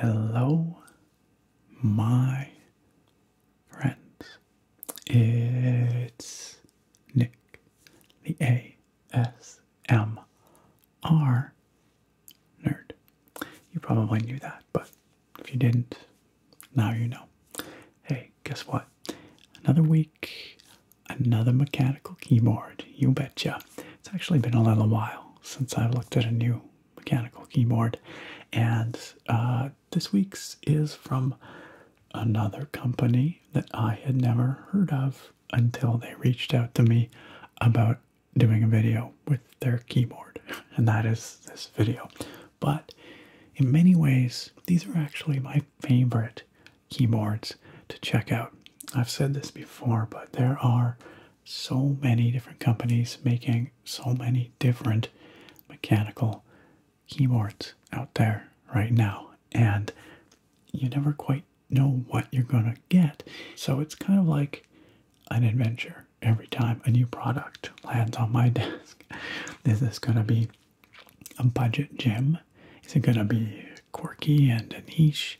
Hello, my friends. It's Nick, the A S. ASMR nerd. You probably knew that, but if you didn't, now you know. Hey, guess what? Another week, another mechanical keyboard. You betcha. It's actually been a little while since I've looked at a new mechanical keyboard, and uh, this week's is from another company that I had never heard of until they reached out to me about doing a video with their keyboard, and that is this video. But in many ways, these are actually my favorite keyboards to check out. I've said this before, but there are so many different companies making so many different mechanical keyboards out there right now, and you never quite know what you're going to get. So it's kind of like an adventure every time a new product lands on my desk. Is this going to be a budget gem? Is it going to be quirky and niche?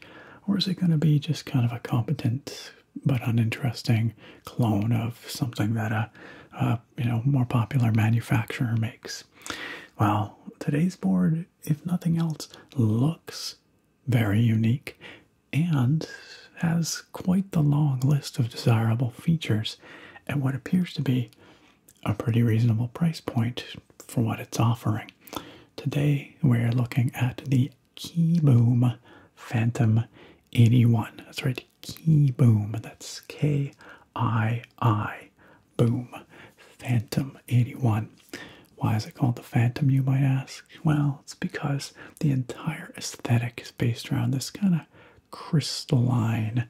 Or is it going to be just kind of a competent but uninteresting clone of something that a, a you know more popular manufacturer makes? Well, today's board if nothing else, looks very unique and has quite the long list of desirable features at what appears to be a pretty reasonable price point for what it's offering. Today, we're looking at the Keyboom Phantom 81. That's right, Keyboom. That's K I I Boom Phantom 81. Why is it called the Phantom, you might ask? Well, it's because the entire aesthetic is based around this kind of crystalline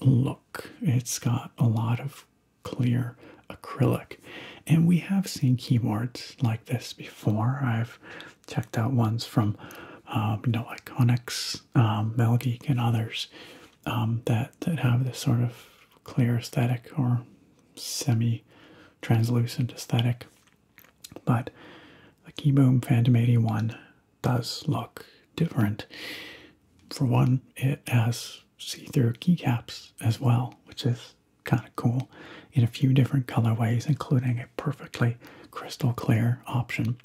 look. It's got a lot of clear acrylic, and we have seen keyboards like this before. I've checked out ones from, um, you know, like Onyx, um, Melgeek, and others um, that that have this sort of clear aesthetic or semi translucent aesthetic. But the Keyboom Phantom 81 does look different. For one, it has see through keycaps as well, which is kind of cool in a few different colorways, including a perfectly crystal clear option.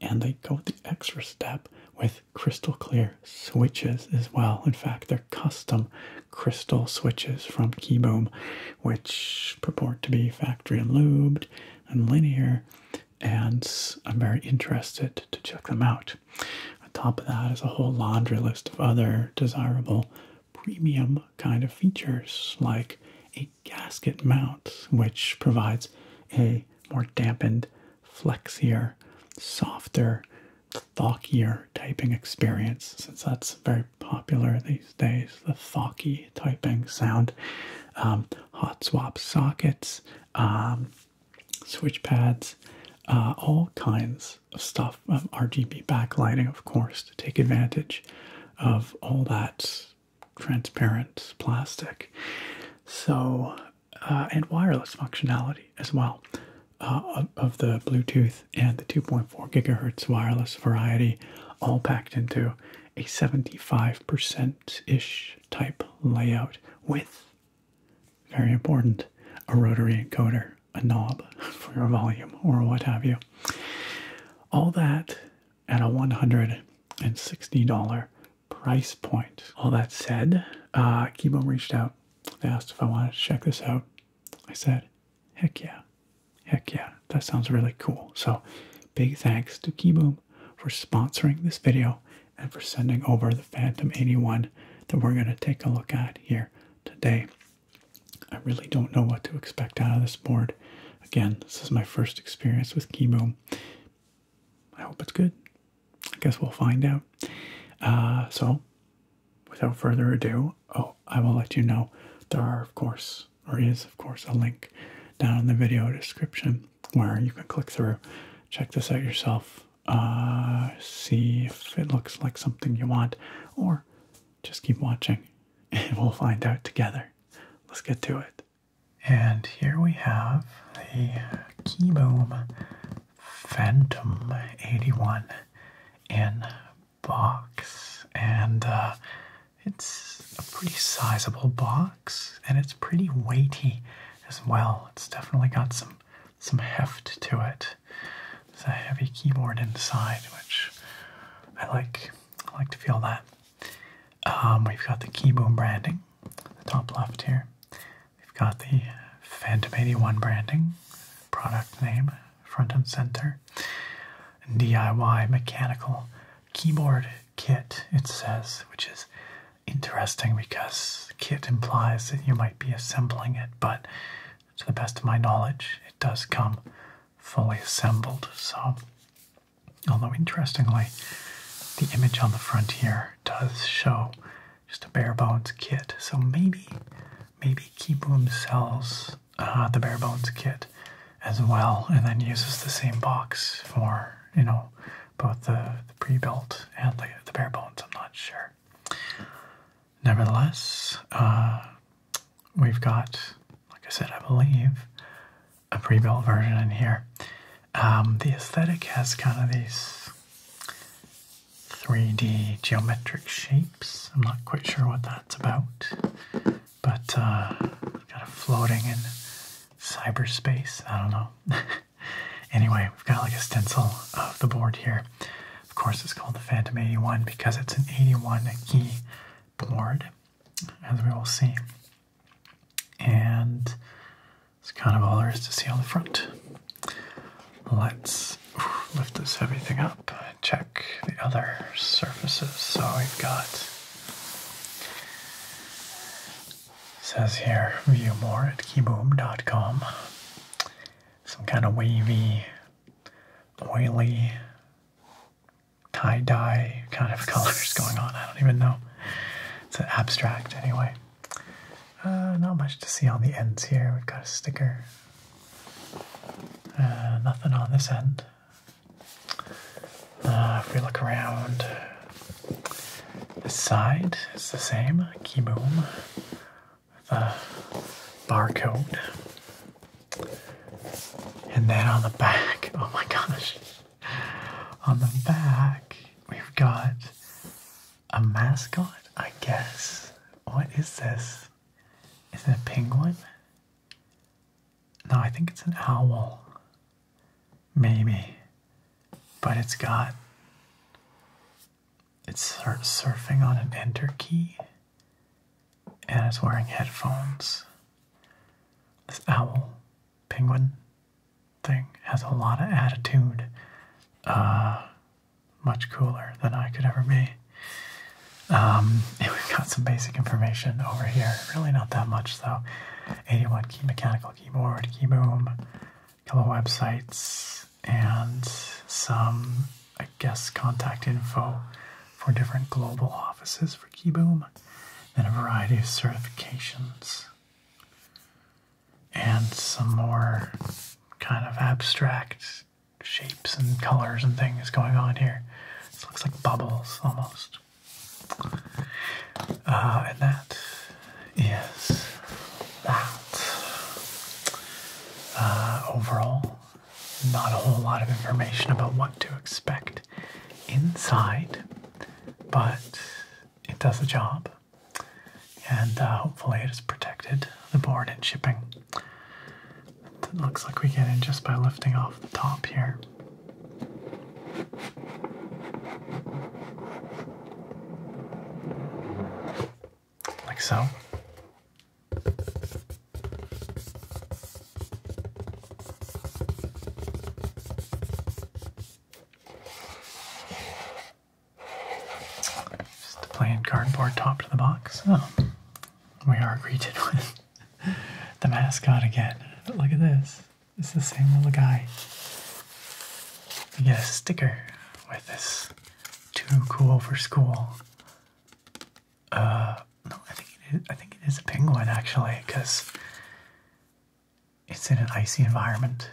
And they go the extra step with crystal clear switches as well. In fact, they're custom crystal switches from Keyboom, which purport to be factory lubed and linear, and I'm very interested to check them out. On top of that is a whole laundry list of other desirable premium kind of features, like a gasket mount, which provides a more dampened, flexier, softer Thokier typing experience, since that's very popular these days, the thokier typing sound. Um, hot swap sockets, um, switch pads, uh, all kinds of stuff, um, RGB backlighting, of course, to take advantage of all that transparent plastic. So, uh, and wireless functionality as well. Uh, of the Bluetooth and the 2.4 gigahertz wireless variety, all packed into a 75% ish type layout with very important a rotary encoder, a knob for your volume, or what have you. All that at a $160 price point. All that said, uh, Kibo reached out. asked if I wanted to check this out. I said, Heck yeah. Heck yeah. That sounds really cool. So big thanks to Keyboom for sponsoring this video and for sending over the Phantom 81 that we're going to take a look at here today. I really don't know what to expect out of this board. Again, this is my first experience with Keyboom. I hope it's good. I guess we'll find out. Uh, so without further ado, oh, I will let you know there are, of course, or is, of course, a link down in the video description where you can click through, check this out yourself, uh, see if it looks like something you want, or just keep watching and we'll find out together. Let's get to it. And here we have the Keyboom Phantom 81 in box, and uh, it's a pretty sizable box, and it's pretty weighty as well. It's definitely got some some heft to it. It's a heavy keyboard inside, which I like. I like to feel that. Um, we've got the Keyboom branding, the top left here. We've got the Phantom 81 branding, product name, front and center. DIY mechanical keyboard kit, it says, which is interesting because kit implies that you might be assembling it, but to the best of my knowledge, it does come fully assembled. So, although interestingly, the image on the front here does show just a bare bones kit, so maybe maybe Keyboom sells uh, the bare bones kit as well, and then uses the same box for you know both the, pre-built and the, the bare bones. I'm not sure. Nevertheless, uh, we've got, like I said, I believe a pre-built version in here. Um, the aesthetic has kind of these 3D geometric shapes I'm not quite sure what that's about, but kind uh, of floating in cyberspace. I don't know. anyway, we've got like a stencil of the board here. Of course, it's called the Phantom 81 because it's an 81 key board, as we will see. And that's kind of all there is to see on the front. Let's lift this everything up and check the other surfaces. So we've got says here view more at kiboom.com. Some kind of wavy, oily, tie-dye kind of colors going on. I don't even know. It's an abstract anyway. Uh, not much to see on the ends here. We've got a sticker, uh, nothing on this end. Uh, if we look around, this side is the same key boom with a barcode. And then on the back, oh my gosh, on the back, we've got a mascot, I guess. What is this? Is it a penguin? No, I think it's an owl. Maybe. But it's got. It's surfing on an enter key. And it's wearing headphones. This owl penguin thing has a lot of attitude. Uh, much cooler than I could ever be. Um, we've got some basic information over here. Really not that much though. 81 key mechanical keyboard, key boom, couple websites, and some, I guess, contact info for different global offices for Keyboom, and a variety of certifications. And some more kind of abstracts shapes and colors and things going on here. This looks like bubbles almost. Uh, and that is that. Uh, overall, not a whole lot of information about what to expect inside, but it does the job. And uh, hopefully, it is protected, the board and shipping. It looks like we get in just by lifting off the top here. Like so. Just a plain cardboard top to the box. Oh, we are greeted with the mascot again. But look at this. It's the same little guy. We get a sticker with this too cool for school. Uh no, I think it is I think it is a penguin actually, because it's in an icy environment.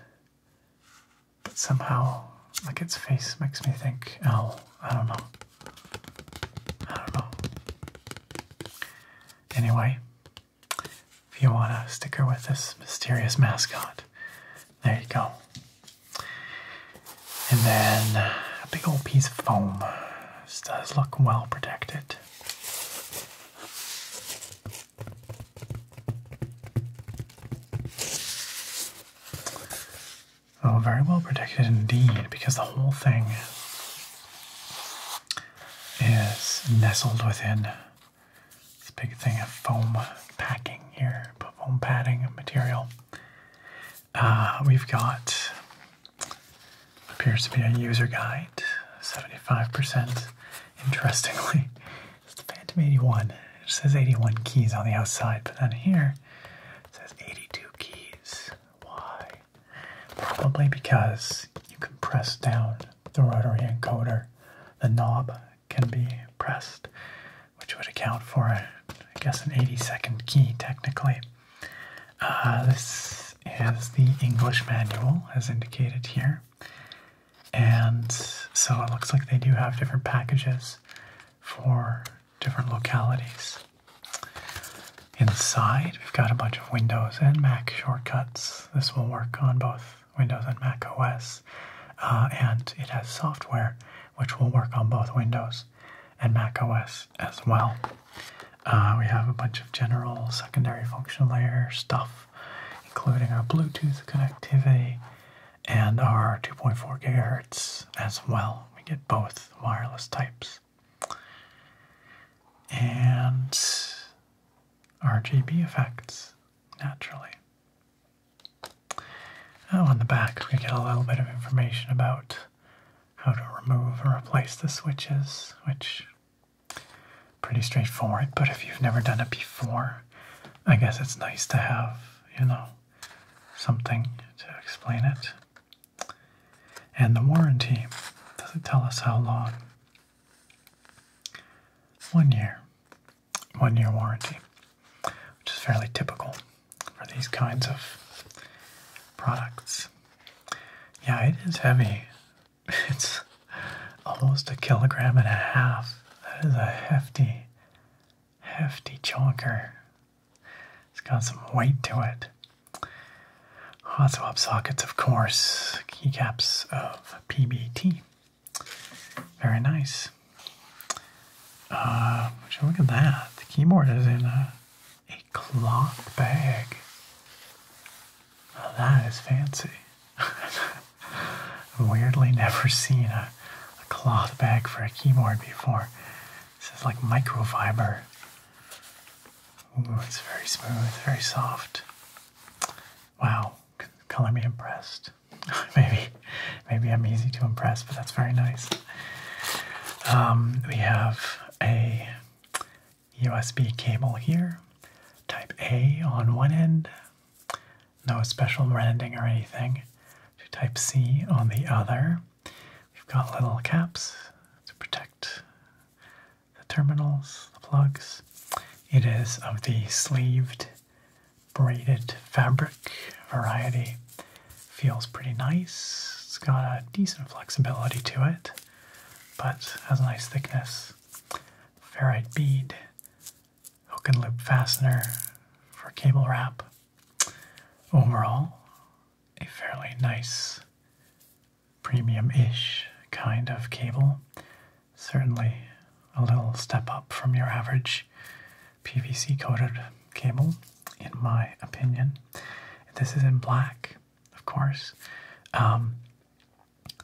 But somehow like its face makes me think, oh, I don't know. I don't know. Anyway, if you want a sticker with this mysterious mascot, there you go. And then a big old piece of foam. This does look well protected. Oh, very well protected indeed, because the whole thing is nestled within this big thing of foam packing here, foam padding material. Uh, we've got appears to be a user guide, 75%. Interestingly, Phantom 81. It says 81 keys on the outside, but then here it says 82 keys. Why? Probably because you can press down the rotary encoder. The knob can be pressed, which would account for, I guess, an 80 second key technically. Uh, this is the English manual, as indicated here. And so it looks like they do have different packages for different localities. Inside, we've got a bunch of Windows and Mac shortcuts. This will work on both Windows and Mac OS, uh, and it has software which will work on both Windows and Mac OS as well. Uh, we have a bunch of general secondary function layer stuff, including our Bluetooth connectivity and our 2.4 gigahertz as well. We get both wireless types and RGB effects naturally. Now oh, on the back we get a little bit of information about how to remove and replace the switches, which pretty straightforward, but if you've never done it before, I guess it's nice to have, you know, something to explain it. And the warranty does it tell us how long? One year. One year warranty, which is fairly typical for these kinds of products. Yeah, it is heavy. It's almost a kilogram and a half. That is a hefty, hefty chunker. It's got some weight to it. Hot swap sockets, of course, keycaps of PBT. Very nice. actually, uh, look at that. The keyboard is in a, a cloth bag. that is fancy. Weirdly, never seen a cloth bag for a keyboard before. This is like microfiber. Ooh, it's very smooth, it's very soft. Wow, color me impressed. maybe, maybe I'm easy to impress, but that's very nice. Um, we have a USB cable here, type A on one end, no special branding or anything, to type C on the other. We've got little caps to protect the terminals, the plugs. It is of the sleeved braided fabric variety. Feels pretty nice. It's got a decent flexibility to it, but has a nice thickness. Ferrite bead, hook and loop fastener for cable wrap. Overall, a fairly nice premium ish kind of cable. Certainly a little step up from your average PVC coated cable, in my opinion. This is in black, of course. Um,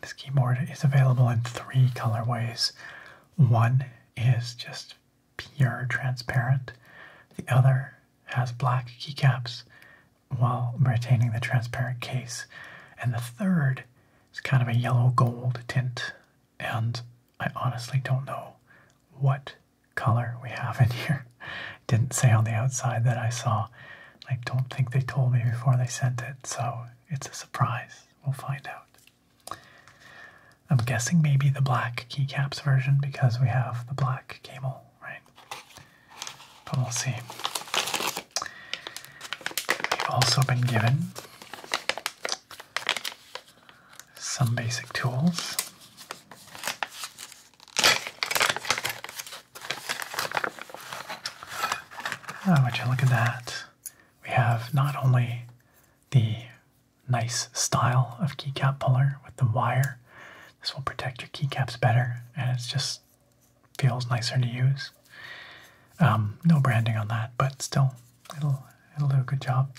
this keyboard is available in three colorways. One is just pure transparent, the other has black keycaps, while retaining the transparent case. And the third is kind of a yellow gold tint. And I honestly don't know what color we have in here. didn't say on the outside that I saw. I don't think they told me before they sent it, so it's a surprise. We'll find out. I'm guessing maybe the black keycaps version because we have the black camel right? But we'll see. We've also been given some basic tools. Oh, would you look at that? We have not only the nice style of keycap puller with the wire this will protect your keycaps better, and it just feels nicer to use. Um, no branding on that, but still, it'll do a good job.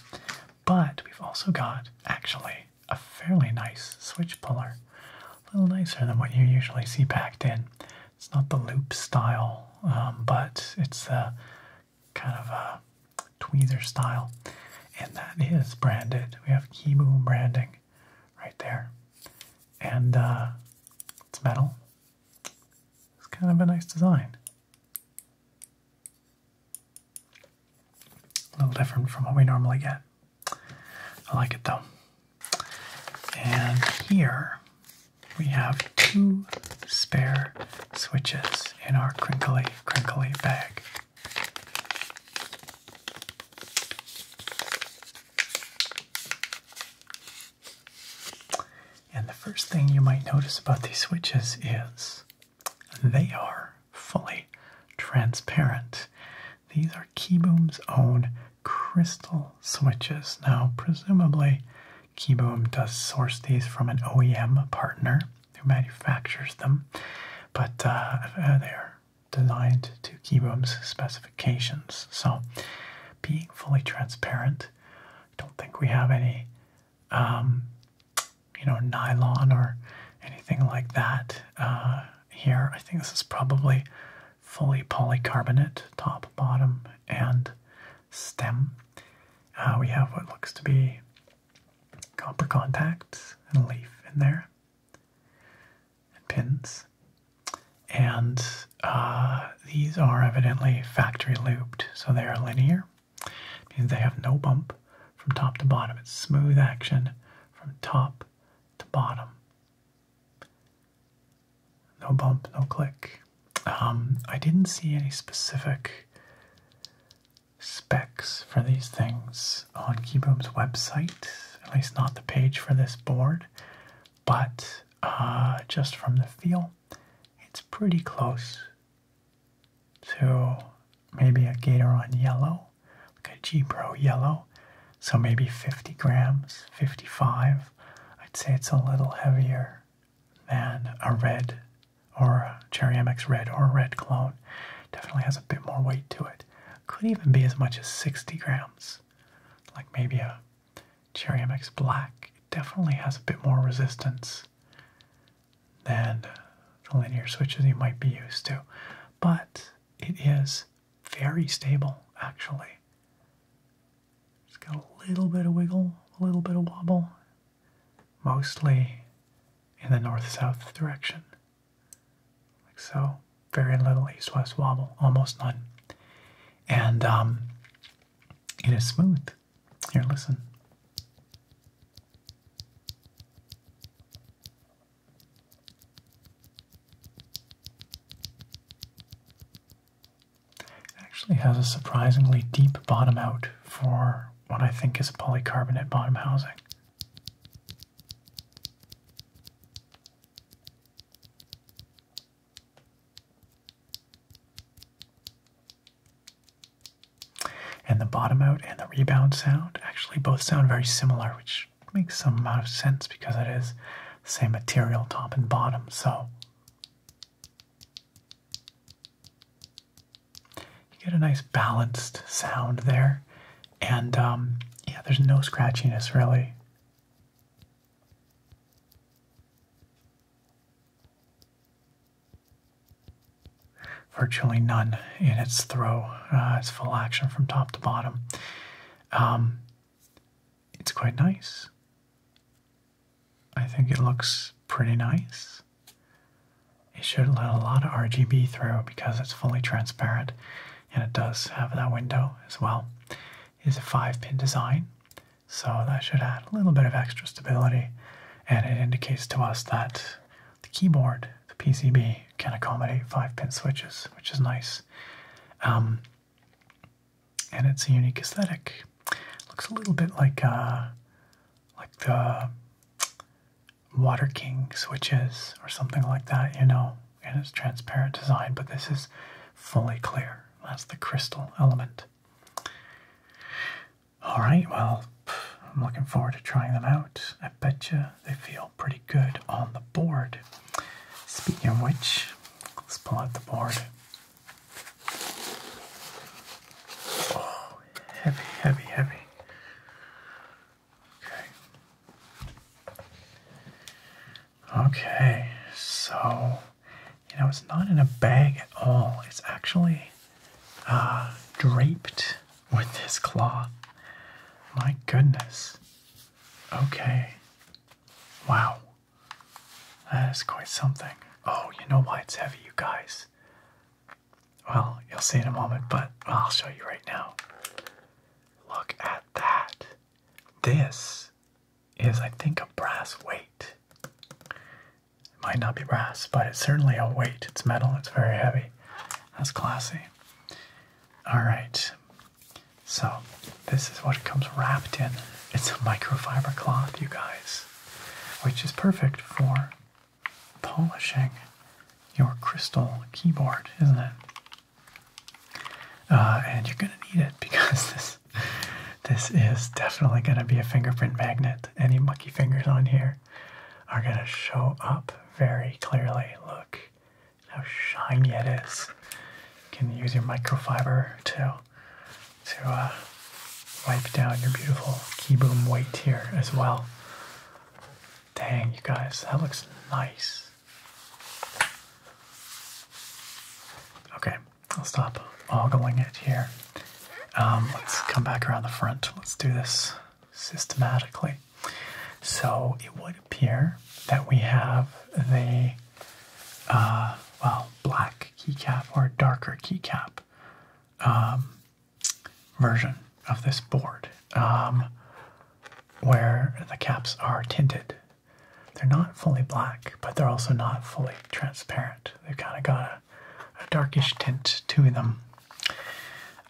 But we've also got actually a fairly nice switch puller, a little nicer than what you usually see packed in. It's not the loop style, um, but it's a kind of a tweezer style, and that is branded. We have Kibu branding right there. And uh, it's metal. It's kind of a nice design. A little different from what we normally get. I like it though. And here we have two spare switches in our crinkly, crinkly bag. And the first thing you might notice about these switches is they are fully transparent. These are Keyboom's own crystal switches. Now, presumably, Keyboom does source these from an OEM partner who manufactures them, but uh, uh they are designed to Keybom's specifications. So, being fully transparent, I don't think we have any, um, you know, nylon or anything like that uh, here. I think this is probably fully polycarbonate, top, bottom, and stem. Uh, we have what looks to be copper contacts and leaf in there and pins. And uh, these are evidently factory looped, so they are linear. means they have no bump from top to bottom. It's smooth action from top to bottom. No bump, no click. Um, I didn't see any specific specs for these things on Keybroom's website, at least not the page for this board, but uh, just from the feel, it's pretty close to maybe a Gator on Yellow, like a G Pro Yellow. So maybe 50 grams, 55. I'd say it's a little heavier than a red or a Cherry MX Red or red clone. Definitely has a bit more weight to it could even be as much as 60 grams. Like maybe a Cherry MX Black it definitely has a bit more resistance than the linear switches you might be used to, but it is very stable actually. It's got a little bit of wiggle, a little bit of wobble, mostly in the north south direction like so. Very little east-west wobble, almost none. And um, it is smooth. Here, listen. It actually has a surprisingly deep bottom out for what I think is a polycarbonate bottom housing. And the bottom out and the rebound sound actually both sound very similar, which makes some amount of sense because it is same material, top and bottom. So you get a nice balanced sound there and um, yeah, there's no scratchiness really. Virtually none in its throw. Uh, it's full action from top to bottom. Um, it's quite nice. I think it looks pretty nice. It should let a lot of RGB through because it's fully transparent and it does have that window as well. It is a five pin design, so that should add a little bit of extra stability, and it indicates to us that the keyboard, the PCB, can accommodate five pin switches, which is nice. Um, and it's a unique aesthetic. Looks a little bit like uh, like the Water King switches or something like that, you know, and it's transparent design, but this is fully clear. That's the crystal element. Alright, well, I'm looking forward to trying them out. I bet you they feel pretty good on the board. Speaking of which, let's pull out the board. Oh, heavy, heavy, heavy. Okay. Okay, so you know it's not in a bag at all. It's actually uh, draped with this cloth. My goodness. Okay. Wow. That is quite something. Oh, you know why it's heavy, you guys? Well, you'll see in a moment, but I'll show you right now. Look at that. This is, I think, a brass weight. It might not be brass, but it's certainly a weight. It's metal, it's very heavy. That's classy. Alright, so this is what it comes wrapped in. It's a microfiber cloth, you guys, which is perfect for polishing your crystal keyboard, isn't it? Uh, and you're gonna need it because this this is definitely gonna be a fingerprint magnet. Any mucky fingers on here are gonna show up very clearly. Look how shiny it is. You can use your microfiber to to uh, wipe down your beautiful keyboom white here as well. Dang, you guys, that looks nice. Okay, I'll stop ogling it here. Um, let's come back around the front. Let's do this systematically. So it would appear that we have the uh, well black keycap or darker keycap um, version of this board um, where the caps are tinted they're not fully black, but they're also not fully transparent. They've kind of got a, darkish tint to them.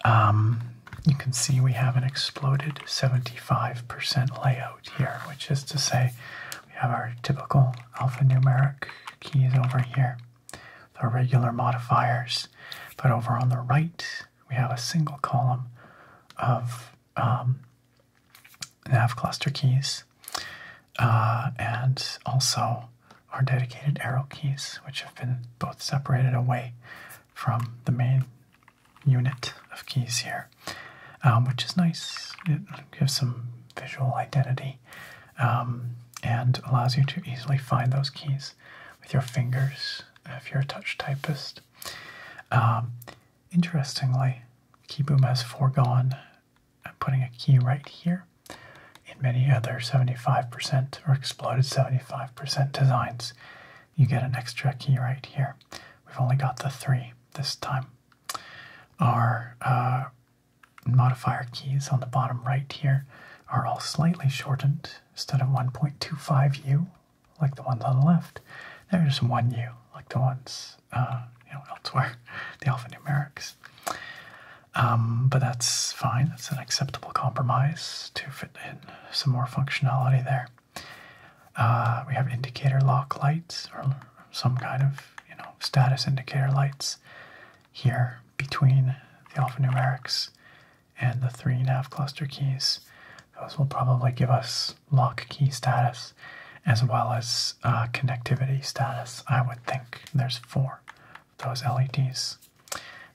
Um, you can see we have an exploded 75% layout here, which is to say we have our typical alphanumeric keys over here the regular modifiers. But over on the right, we have a single column of um, nav cluster keys, uh, and also our dedicated arrow keys, which have been both separated away from the main unit of keys here, um, which is nice. It gives some visual identity um, and allows you to easily find those keys with your fingers if you're a touch typist. Um, Interestingly, KeyBoom has foregone putting a key right here in many other 75% or exploded 75% designs. You get an extra key right here. We've only got the three this time. Our uh, modifier keys on the bottom right here are all slightly shortened. Instead of 1.25U, like the ones on the left. They're just one U, like the ones uh, you know elsewhere, the alphanumerics. Um, but that's fine. That's an acceptable compromise to fit in some more functionality there. Uh, we have indicator lock lights or some kind of you know status indicator lights here between the alphanumerics and the three and a half cluster keys. Those will probably give us lock key status, as well as uh, connectivity status. I would think there's four of those LEDs.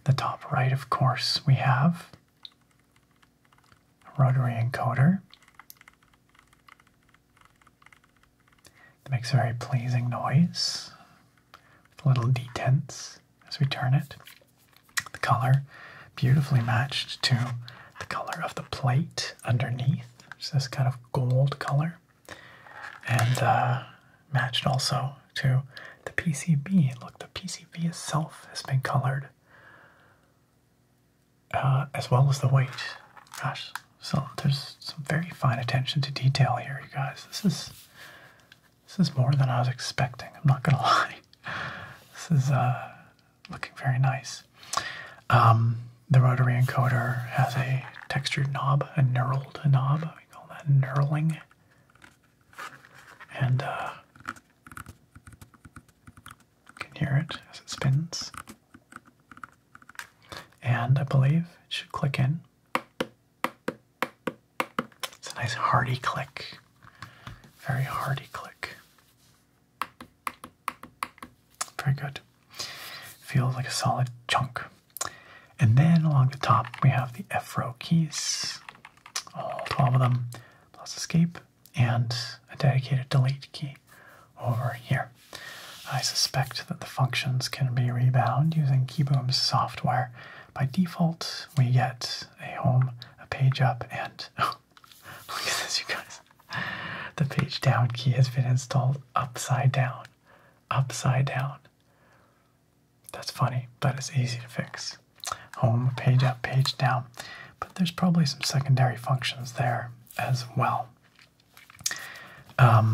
The top right, of course, we have rotary encoder. It makes a very pleasing noise with little detents as we turn it. The color beautifully matched to the color of the plate underneath. It's this kind of gold color. And uh, matched also to the PCB. Look, the PCB itself has been colored uh, as well as the weight. Gosh, so there's some very fine attention to detail here, you guys. This is this is more than I was expecting. I'm not gonna lie. This is uh, looking very nice. Um, the rotary encoder has a textured knob, a knurled knob. We call that knurling. And uh, can hear it as it spins. And I believe it should click in. It's a nice hearty click. Very hearty click. Very good. Feels like a solid chunk. And then along the top, we have the F row keys, all 12 of them, plus escape, and a dedicated delete key over here. I suspect that the functions can be rebound using Keyboom's software. By default, we get a home, a page up, and Look at this, you guys. The page down key has been installed upside down. Upside down. That's funny, but it's easy to fix. Home, page up, page down. But there's probably some secondary functions there as well. Um,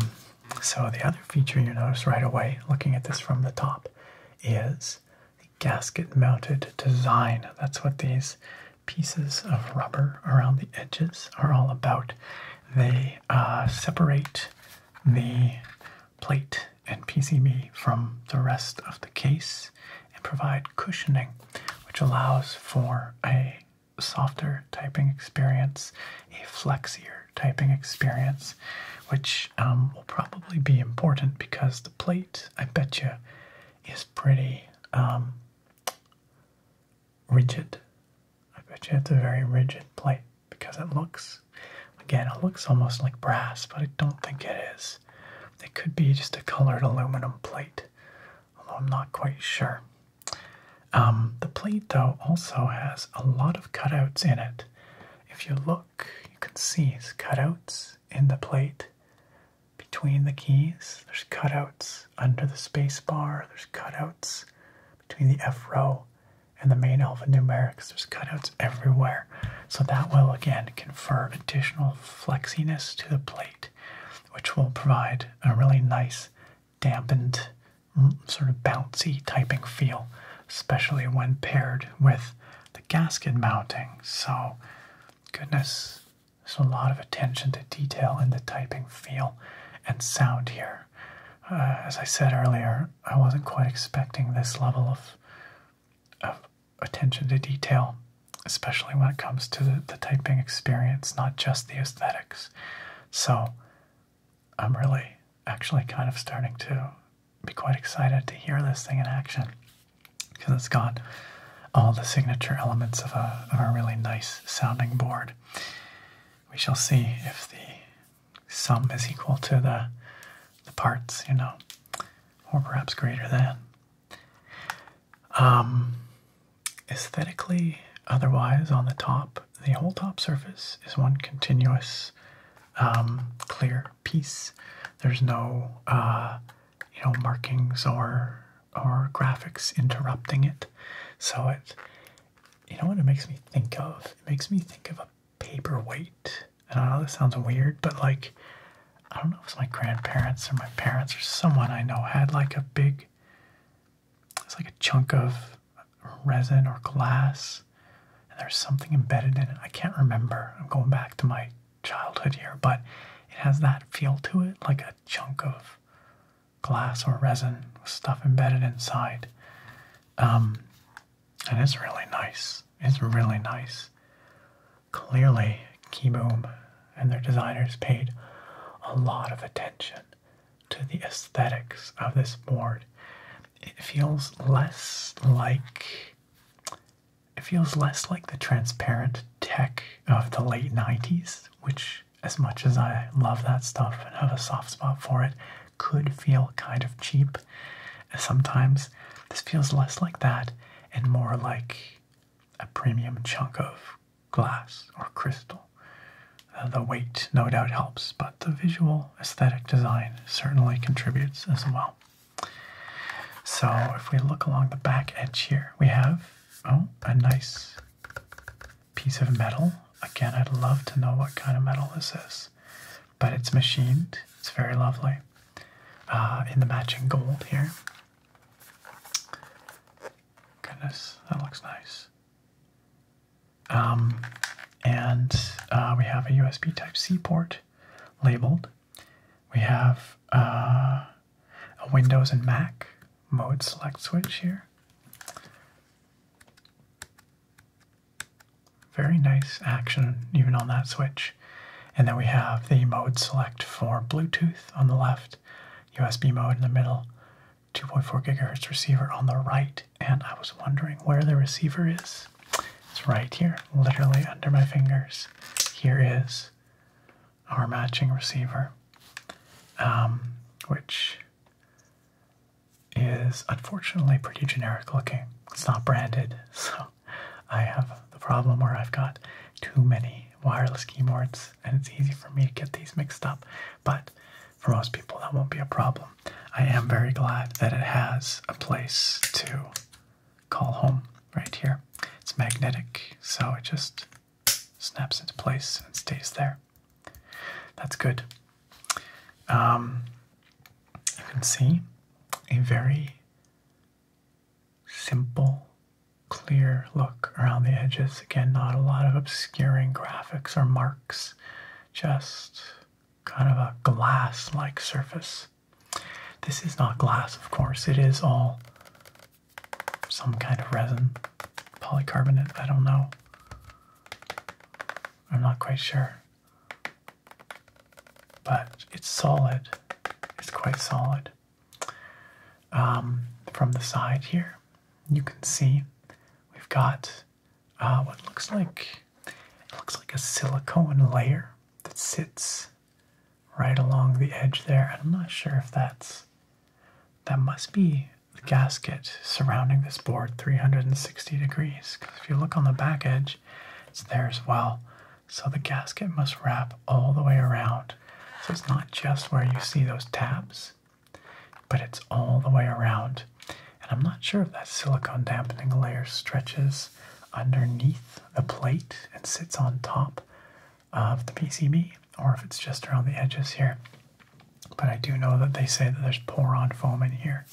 so the other feature you notice right away, looking at this from the top, is the gasket mounted design. That's what these pieces of rubber around the edges are all about. They uh, separate the plate and PCB from the rest of the case and provide cushioning, which allows for a softer typing experience, a flexier typing experience, which um, will probably be important because the plate, I bet you, is pretty um, rigid. I bet you it's a very rigid plate because it looks, again, it looks almost like brass, but I don't think it is. It could be just a colored aluminum plate, although I'm not quite sure. Um, the plate, though, also has a lot of cutouts in it. If you look, you can see these cutouts in the plate between the keys. There's cutouts under the space bar. There's cutouts between the F row and the main alphanumerics. There's cutouts everywhere. So that will again confer additional flexiness to the plate, which will provide a really nice dampened mm, sort of bouncy typing feel, especially when paired with the gasket mounting. So goodness, so a lot of attention to detail in the typing feel and sound here. Uh, as I said earlier, I wasn't quite expecting this level of, of attention to detail, especially when it comes to the typing experience, not just the aesthetics. So I'm really actually kind of starting to be quite excited to hear this thing in action because it's got all the signature elements of a, really nice sounding board. We shall see if the sum is equal to the, parts, you know, or perhaps greater than. Um, aesthetically, otherwise, on the top, the whole top surface is one continuous um, clear piece. There's no uh, you know markings or or graphics interrupting it. So it you know what it makes me think of? It makes me think of a paperweight. And I know this sounds weird, but like I don't know if it's my grandparents or my parents or someone I know had like a big it's like a chunk of resin or glass and there's something embedded in it. I can't remember. I'm going back to my childhood year, but it has that feel to it, like a chunk of glass or resin with stuff embedded inside. Um, and it's really nice. It's really nice. Clearly, Keyboom and their designers paid a lot of attention to the aesthetics of this board. It feels less like it feels less like the transparent tech of the late 90s, which, as much as I love that stuff and have a soft spot for it, could feel kind of cheap. Sometimes this feels less like that and more like a premium chunk of glass or crystal. Uh, the weight no doubt helps, but the visual aesthetic design certainly contributes as well. So, if we look along the back edge here, we have Oh, a nice piece of metal. Again, I'd love to know what kind of metal this is, but it's machined. It's very lovely. Uh, in the matching gold here. Goodness, that looks nice. Um, and uh, we have a USB Type C port labeled. We have uh, a Windows and Mac mode select switch here. Very nice action even on that switch. And then we have the mode select for Bluetooth on the left, USB mode in the middle, 2.4 gigahertz receiver on the right. And I was wondering where the receiver is. It's right here, literally under my fingers. Here it is our matching receiver, um, which is unfortunately pretty generic looking. It's not branded, so I have the problem where I've got too many wireless keyboards and it's easy for me to get these mixed up, but for most people that won't be a problem. I am very glad that it has a place to call home right here. It's magnetic, so it just snaps into place and stays there. That's good. Um, you can see a very simple, clear look around the edges. Again, not a lot of obscuring graphics or marks, just kind of a glass like surface. This is not glass, of course, it is all some kind of resin, polycarbonate, I don't know. I'm not quite sure. But it's solid, it's quite solid. Um, from the side here, you can see we've got uh, what looks like it looks like a silicone layer that sits right along the edge there. And I'm not sure if that's, that must be the gasket surrounding this board 360 degrees. Because if you look on the back edge, it's there as well. So the gasket must wrap all the way around. So it's not just where you see those tabs, but it's all the way around. And I'm not sure if that silicone dampening layer stretches underneath the plate and sits on top of the PCB or if it's just around the edges here. But I do know that they say that there's Poron foam in here,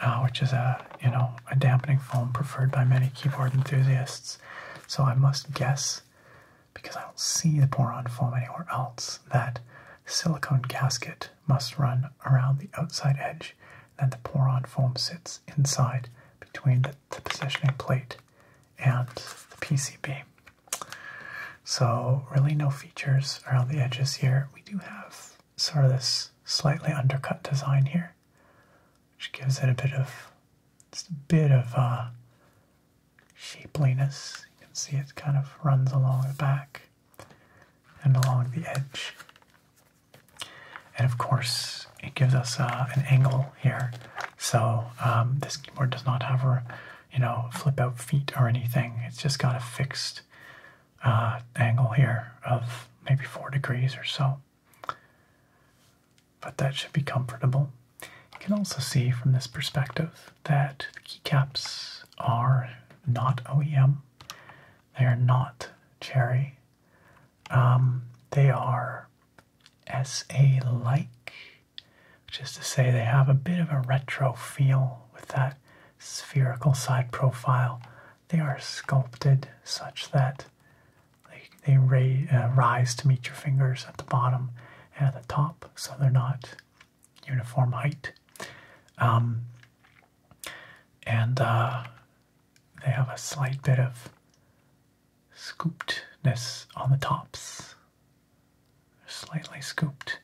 uh, which is a you know a dampening foam preferred by many keyboard enthusiasts. So I must guess, because I don't see the Poron foam anywhere else, that silicone gasket must run around the outside edge, and the Poron foam sits inside between the positioning plate and the PCB. So really no features around the edges here. We do have sort of this slightly undercut design here, which gives it a bit of just a bit of uh, shapeliness. You can see it kind of runs along the back and along the edge. And of course, it gives us uh, an angle here so um, this keyboard does not have a, you know, flip out feet or anything. It's just got a fixed uh, angle here of maybe four degrees or so. But that should be comfortable. You can also see from this perspective that the keycaps are not OEM. They are not Cherry. Um, they are SA-like which is to say they have a bit of a retro feel with that spherical side profile. They are sculpted such that they, uh, rise to meet your fingers at the bottom and at the top, so they're not uniform height. Um, and uh, they have a slight bit of scoopedness on the tops. They're slightly scooped,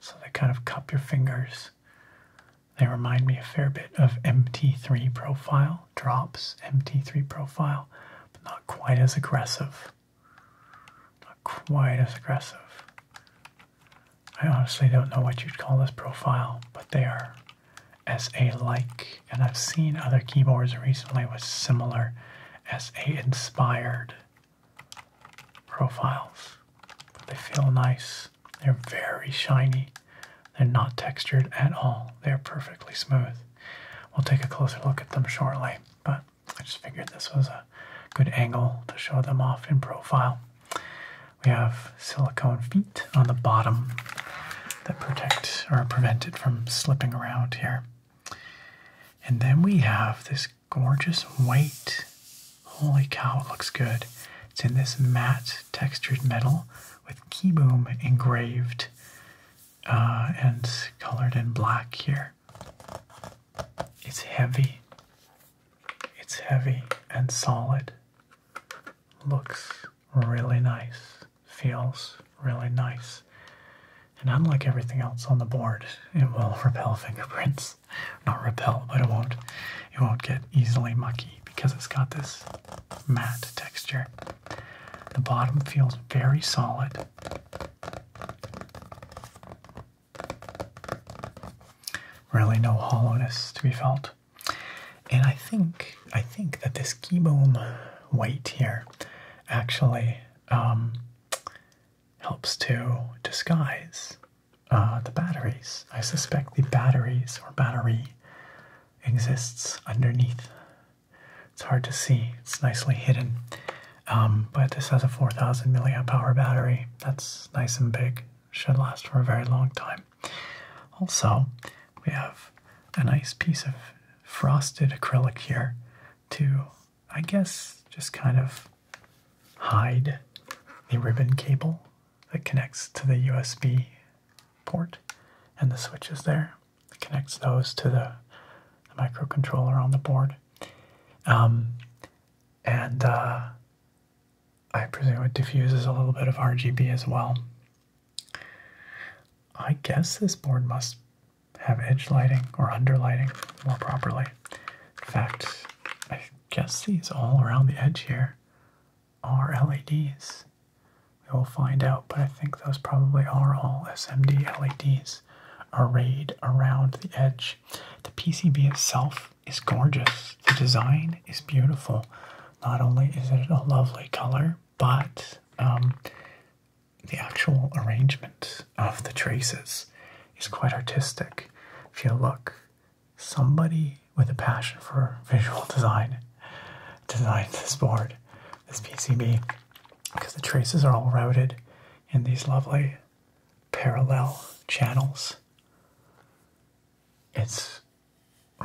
so they kind of cup your fingers. They remind me a fair bit of MT3 profile, drops MT3 profile, but not quite as aggressive. Not quite as aggressive. I honestly don't know what you'd call this profile, but they are SA-like, and I've seen other keyboards recently with similar SA inspired profiles. they feel nice. They're very shiny. They're not textured at all. They're perfectly smooth. We'll take a closer look at them shortly, but I just figured this was a good angle to show them off in profile. We have silicone feet on the bottom that protect or prevent it from slipping around here. And then we have this gorgeous white. Holy cow, it looks good. It's in this matte textured metal with keyboom engraved uh, and colored in black here. It's heavy. It's heavy and solid. Looks really nice. Feels really nice. And unlike everything else on the board, it will repel fingerprints. Not repel, but it won't it won't get easily mucky because it's got this matte texture. The bottom feels very solid. Really no hollowness to be felt. And I think I think that this key keyboom weight here actually um, helps to disguise uh, the batteries. I suspect the batteries or battery exists underneath. It's hard to see, it's nicely hidden. Um, but this has a 4000 milliamp hour battery. That's nice and big, should last for a very long time. Also, we have a nice piece of frosted acrylic here too. I guess just kind of hide the ribbon cable that connects to the USB port and the switches there. It connects those to the, microcontroller on the board. Um, and uh, I presume it diffuses a little bit of RGB as well. I guess this board must have edge lighting or under lighting more properly. In fact, I guess these all around the edge here are LEDs. We will find out, but I think those probably are all SMD LEDs arrayed around the edge. The PCB itself is gorgeous. The design is beautiful. Not only is it a lovely color, but um, the actual arrangement of the traces is quite artistic. If you look, somebody with a passion for visual design designed this board, this PCB, because the traces are all routed in these lovely parallel channels. It's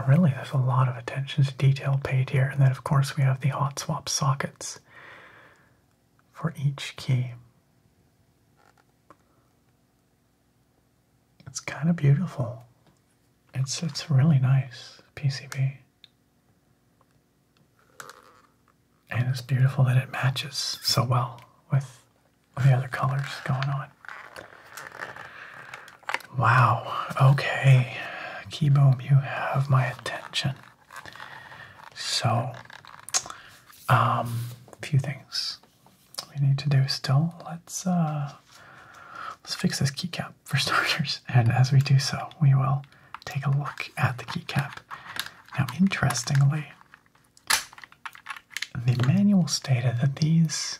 really, there's a lot of attention to detail paid here. And then, of course, we have the hot swap sockets for each key. It's kind of beautiful. It's it's really nice PCB. And it's beautiful that it matches so well with the other colors going on. Wow, okay. Keyboom, you have my attention. So, a um, few things we need to do still. Let's uh, let's fix this keycap for starters, and as we do so, we will take a look at the keycap. Now, interestingly, the manual stated that these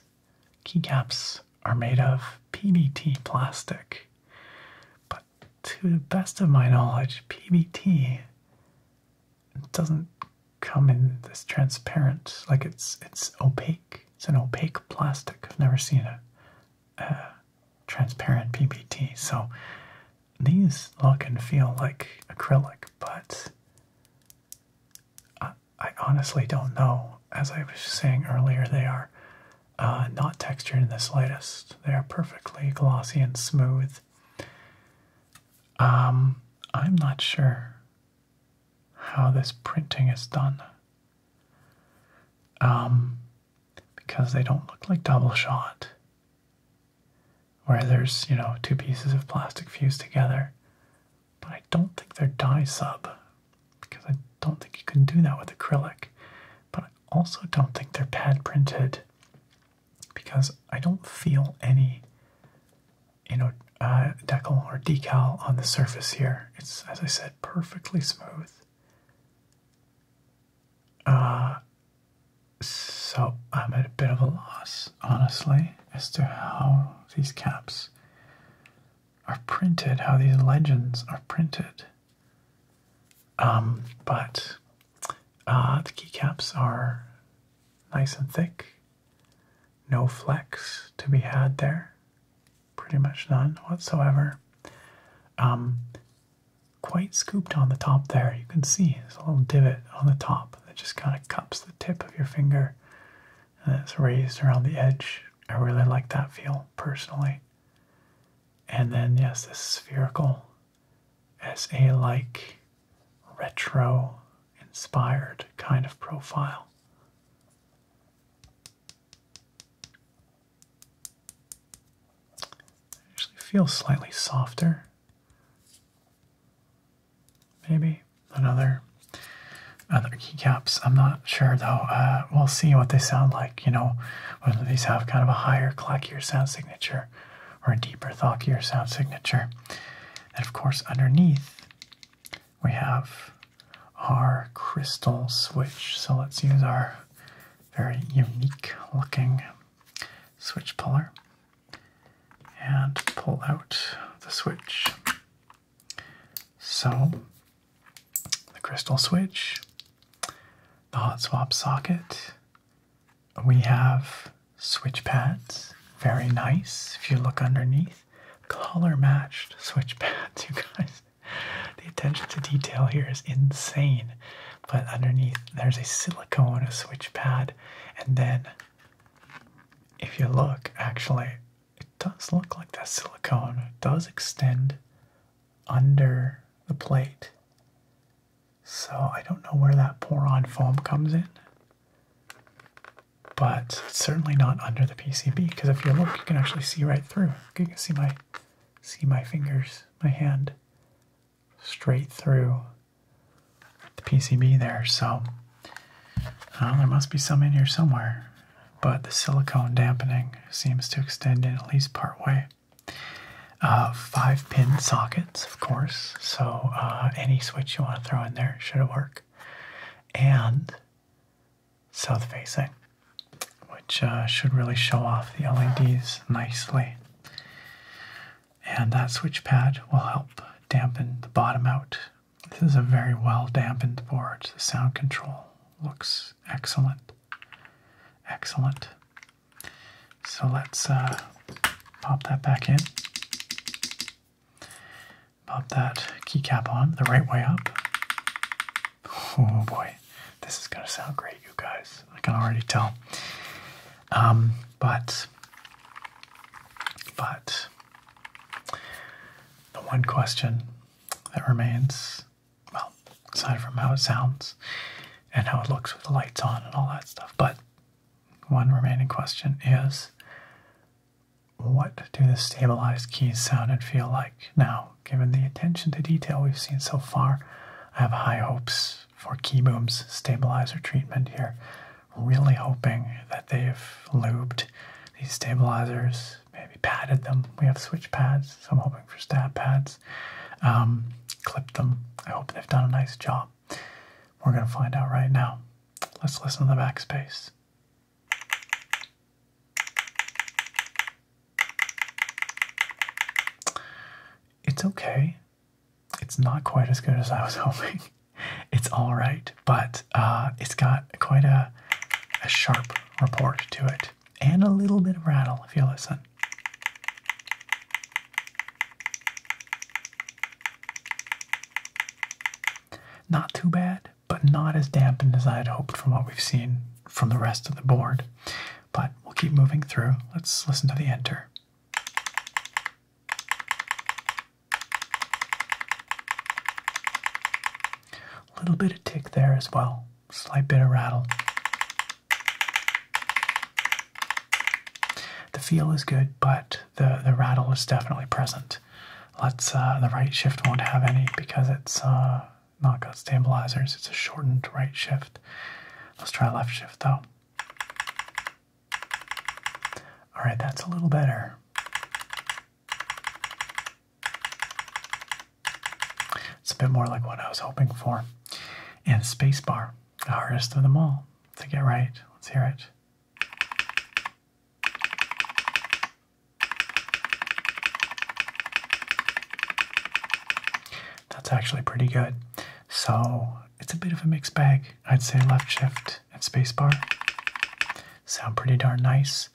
keycaps are made of PBT plastic, but to the best of my knowledge, PBT doesn't come in this transparent, like it's it's opaque. It's an opaque plastic. I've never seen a, transparent PBT. So these look and feel like acrylic, but I, honestly don't know. As I was saying earlier, they are uh, not textured in the slightest. They are perfectly glossy and smooth um, I'm not sure how this printing is done. Um, because they don't look like double shot, where there's, you know, two pieces of plastic fused together. But I don't think they're dye sub, because I don't think you can do that with acrylic. But I also don't think they're pad printed because I don't feel any, you know, uh, decal or decal on the surface here. It's, as I said, perfectly smooth. Uh, so I'm at a bit of a loss, honestly, as to how these caps are printed, how these legends are printed. Um, but uh, the keycaps are nice and thick. No flex to be had there. Pretty much none whatsoever. Um, quite scooped on the top there. You can see there's a little divot on the top that just kind of cups the tip of your finger and it's raised around the edge. I really like that feel personally. And then, yes, this spherical as a like retro inspired kind of profile. actually feels slightly softer. Maybe another other keycaps. I'm not sure though. Uh, we'll see what they sound like. You know, whether these have kind of a higher, clackier sound signature or a deeper, thockier sound signature. And of course, underneath we have our crystal switch. So let's use our very unique looking switch puller and pull out the switch. So the crystal switch, the hot swap socket, we have switch pads, very nice. If you look underneath, color matched switch pads, you guys. The attention to detail here is insane. But underneath, there's a silicone switch pad, and then if you look, actually, it does look like the silicone does extend under the plate so I don't know where that pour-on foam comes in, but certainly not under the PCB because if you look, you can actually see right through. You can see my see my fingers, my hand straight through the PCB there. So there must be some in here somewhere, but the silicone dampening seems to extend in at least part way. Uh, five pin sockets, of course, so uh, any switch you want to throw in there should work. And south facing, which uh, should really show off the LEDs nicely. And that switch pad will help dampen the bottom out. This is a very well dampened board. The sound control looks excellent. Excellent. So let's uh, pop that back in. Pop that keycap on the right way up. Oh boy, this is gonna sound great, you guys. I can already tell. Um, but, but, the one question that remains, well, aside from how it sounds and how it looks with the lights on and all that stuff, but one remaining question is what do the stabilized keys sound and feel like? Now, given the attention to detail we've seen so far, I have high hopes for Keyboom's stabilizer treatment here. Really hoping that they've lubed these stabilizers, maybe padded them. We have switch pads, so I'm hoping for stab pads. Um, clipped them. I hope they've done a nice job. We're going to find out right now. Let's listen to the backspace. It's okay. It's not quite as good as I was hoping. It's all right, but uh, it's got quite a, a sharp report to it and a little bit of rattle if you listen. Not too bad, but not as dampened as I had hoped from what we've seen from the rest of the board. But we'll keep moving through. Let's listen to the enter. A little bit of tick there as well, slight bit of rattle. The feel is good, but the the rattle is definitely present. Let's uh, the right shift won't have any because it's uh, not got stabilizers. It's a shortened right shift. Let's try left shift though. All right, that's a little better. It's a bit more like what I was hoping for. And spacebar, the hardest of them all to get right. Let's hear it. That's actually pretty good. So it's a bit of a mixed bag. I'd say left shift and spacebar sound pretty darn nice.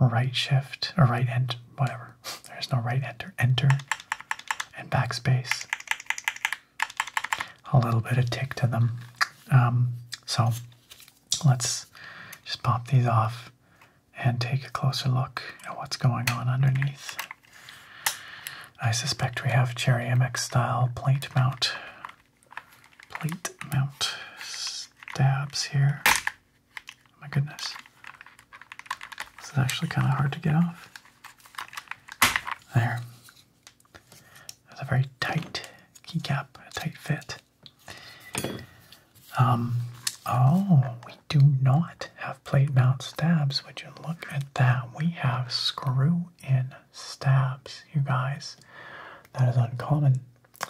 Right shift or right enter, whatever. There's no right enter, enter, and backspace a little bit of tick to them. Um, so let's just pop these off and take a closer look at what's going on underneath. I suspect we have Cherry MX style plate mount, plate mount stabs here. Oh my goodness. This is actually kind of hard to get off. There. That's a very tight keycap, a tight fit. Um, oh, we do not have plate mount stabs. Would you look at that? We have screw in stabs, you guys. That is uncommon.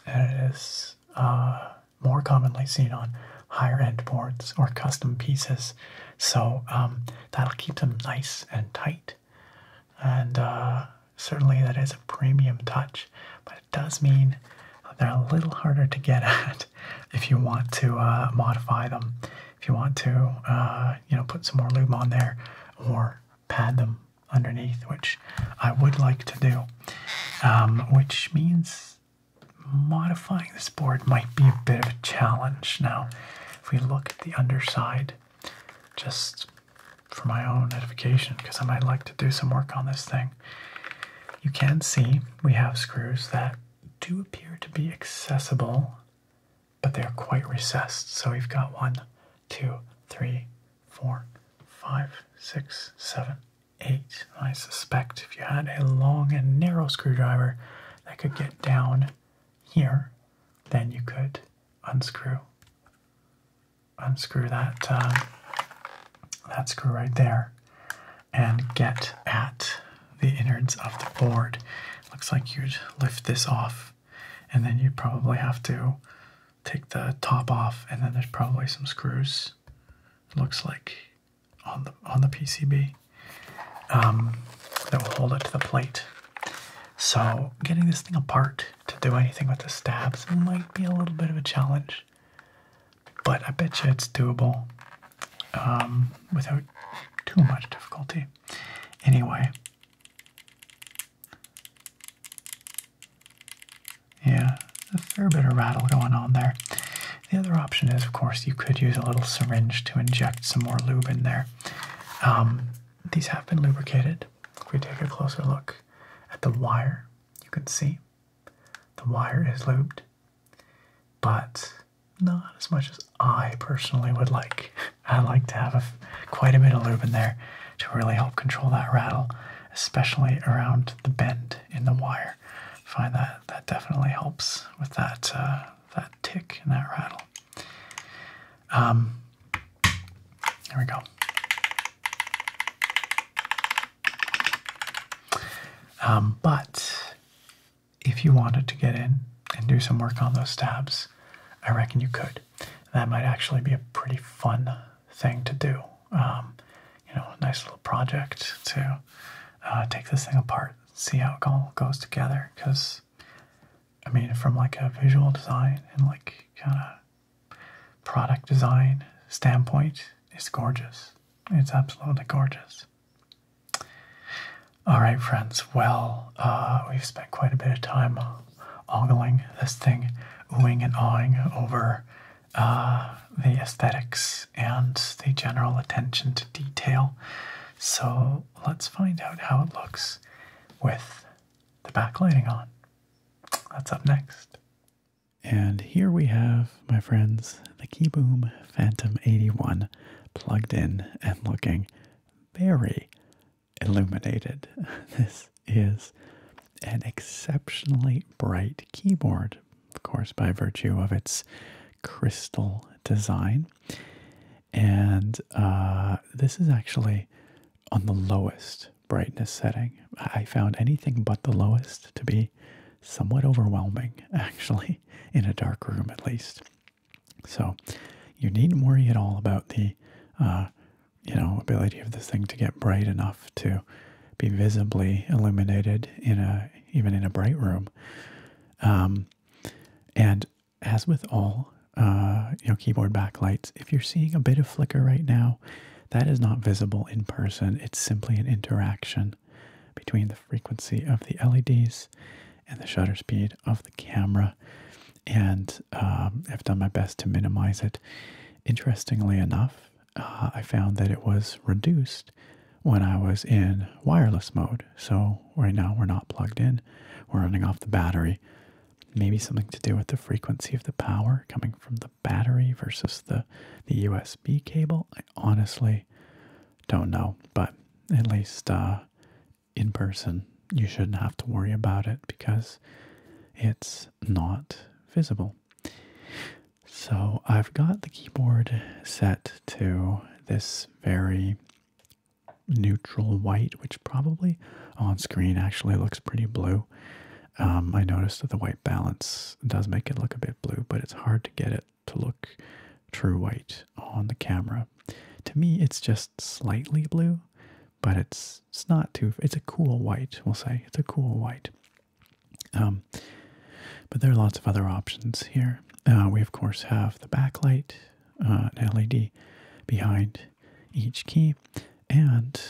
And it is uh, more commonly seen on higher end boards or custom pieces. So um, that'll keep them nice and tight. And uh, certainly that is a premium touch, but it does mean they're a little harder to get at if you want to uh, modify them, if you want to, uh, you know, put some more lube on there or pad them underneath, which I would like to do, um, which means modifying this board might be a bit of a challenge now. If we look at the underside, just for my own edification, because I might like to do some work on this thing, you can see we have screws that do appear to be accessible, but they are quite recessed. So we've got one, two, three, four, five, six, seven, eight. I suspect if you had a long and narrow screwdriver that could get down here then you could unscrew unscrew that uh, that screw right there and get at the innards of the board. Looks like you'd lift this off and then you'd probably have to take the top off and then there's probably some screws looks like on the on the PCB. Um, that will hold it to the plate. So getting this thing apart to do anything with the stabs might be a little bit of a challenge, but I bet you it's doable um, without too much difficulty. Anyway, yeah, a fair bit of rattle going on there. The other option is, of course, you could use a little syringe to inject some more lube in there. Um, these have been lubricated. If we take a closer look at the wire, you can see the wire is lubed, but not as much as I personally would like. I like to have quite a bit of lube in there to really help control that rattle, especially around the bend in the wire. I find that that definitely helps with that uh, that tick and that rattle. Um, there we go. Um, but if you wanted to get in and do some work on those tabs, I reckon you could. That might actually be a pretty fun thing to do. Um, you know, nice little project to uh, take this thing apart, see how it all goes together. Because I mean, from like a visual design and like kind of product design standpoint, it's gorgeous. It's absolutely gorgeous. All right, friends. Well, uh, we've spent quite a bit of time ogling this thing, oohing and ahhing over uh, the aesthetics and the general attention to detail. So let's find out how it looks with the backlighting on. That's up next. And here we have, my friends, the Keyboom Phantom 81 plugged in and looking very illuminated. This is an exceptionally bright keyboard, of course, by virtue of its crystal design. And uh, this is actually on the lowest brightness setting. I found anything but the lowest to be somewhat overwhelming, actually, in a dark room at least. So you needn't worry at all about the, uh, you know, ability of this thing to get bright enough to be visibly illuminated in a even in a bright room. Um, and as with all uh, you know keyboard backlights, if you're seeing a bit of flicker right now, that is not visible in person. It's simply an interaction between the frequency of the LEDs and the shutter speed of the camera. And um, I've done my best to minimize it. Interestingly enough, uh, I found that it was reduced when I was in wireless mode. So right now we're not plugged in, we're running off the battery. Maybe something to do with the frequency of the power coming from the battery versus the, the USB cable. I honestly don't know, but at least uh, in person, you shouldn't have to worry about it because it's not visible. So I've got the keyboard set to this very neutral white, which probably on screen actually looks pretty blue. Um, I noticed that the white balance does make it look a bit blue, but it's hard to get it to look true white on the camera. To me, it's just slightly blue, but it's it's not too. It's a cool white, we'll say. It's a cool white. Um, but there are lots of other options here. Uh, we of course have the backlight, uh, an LED behind each key and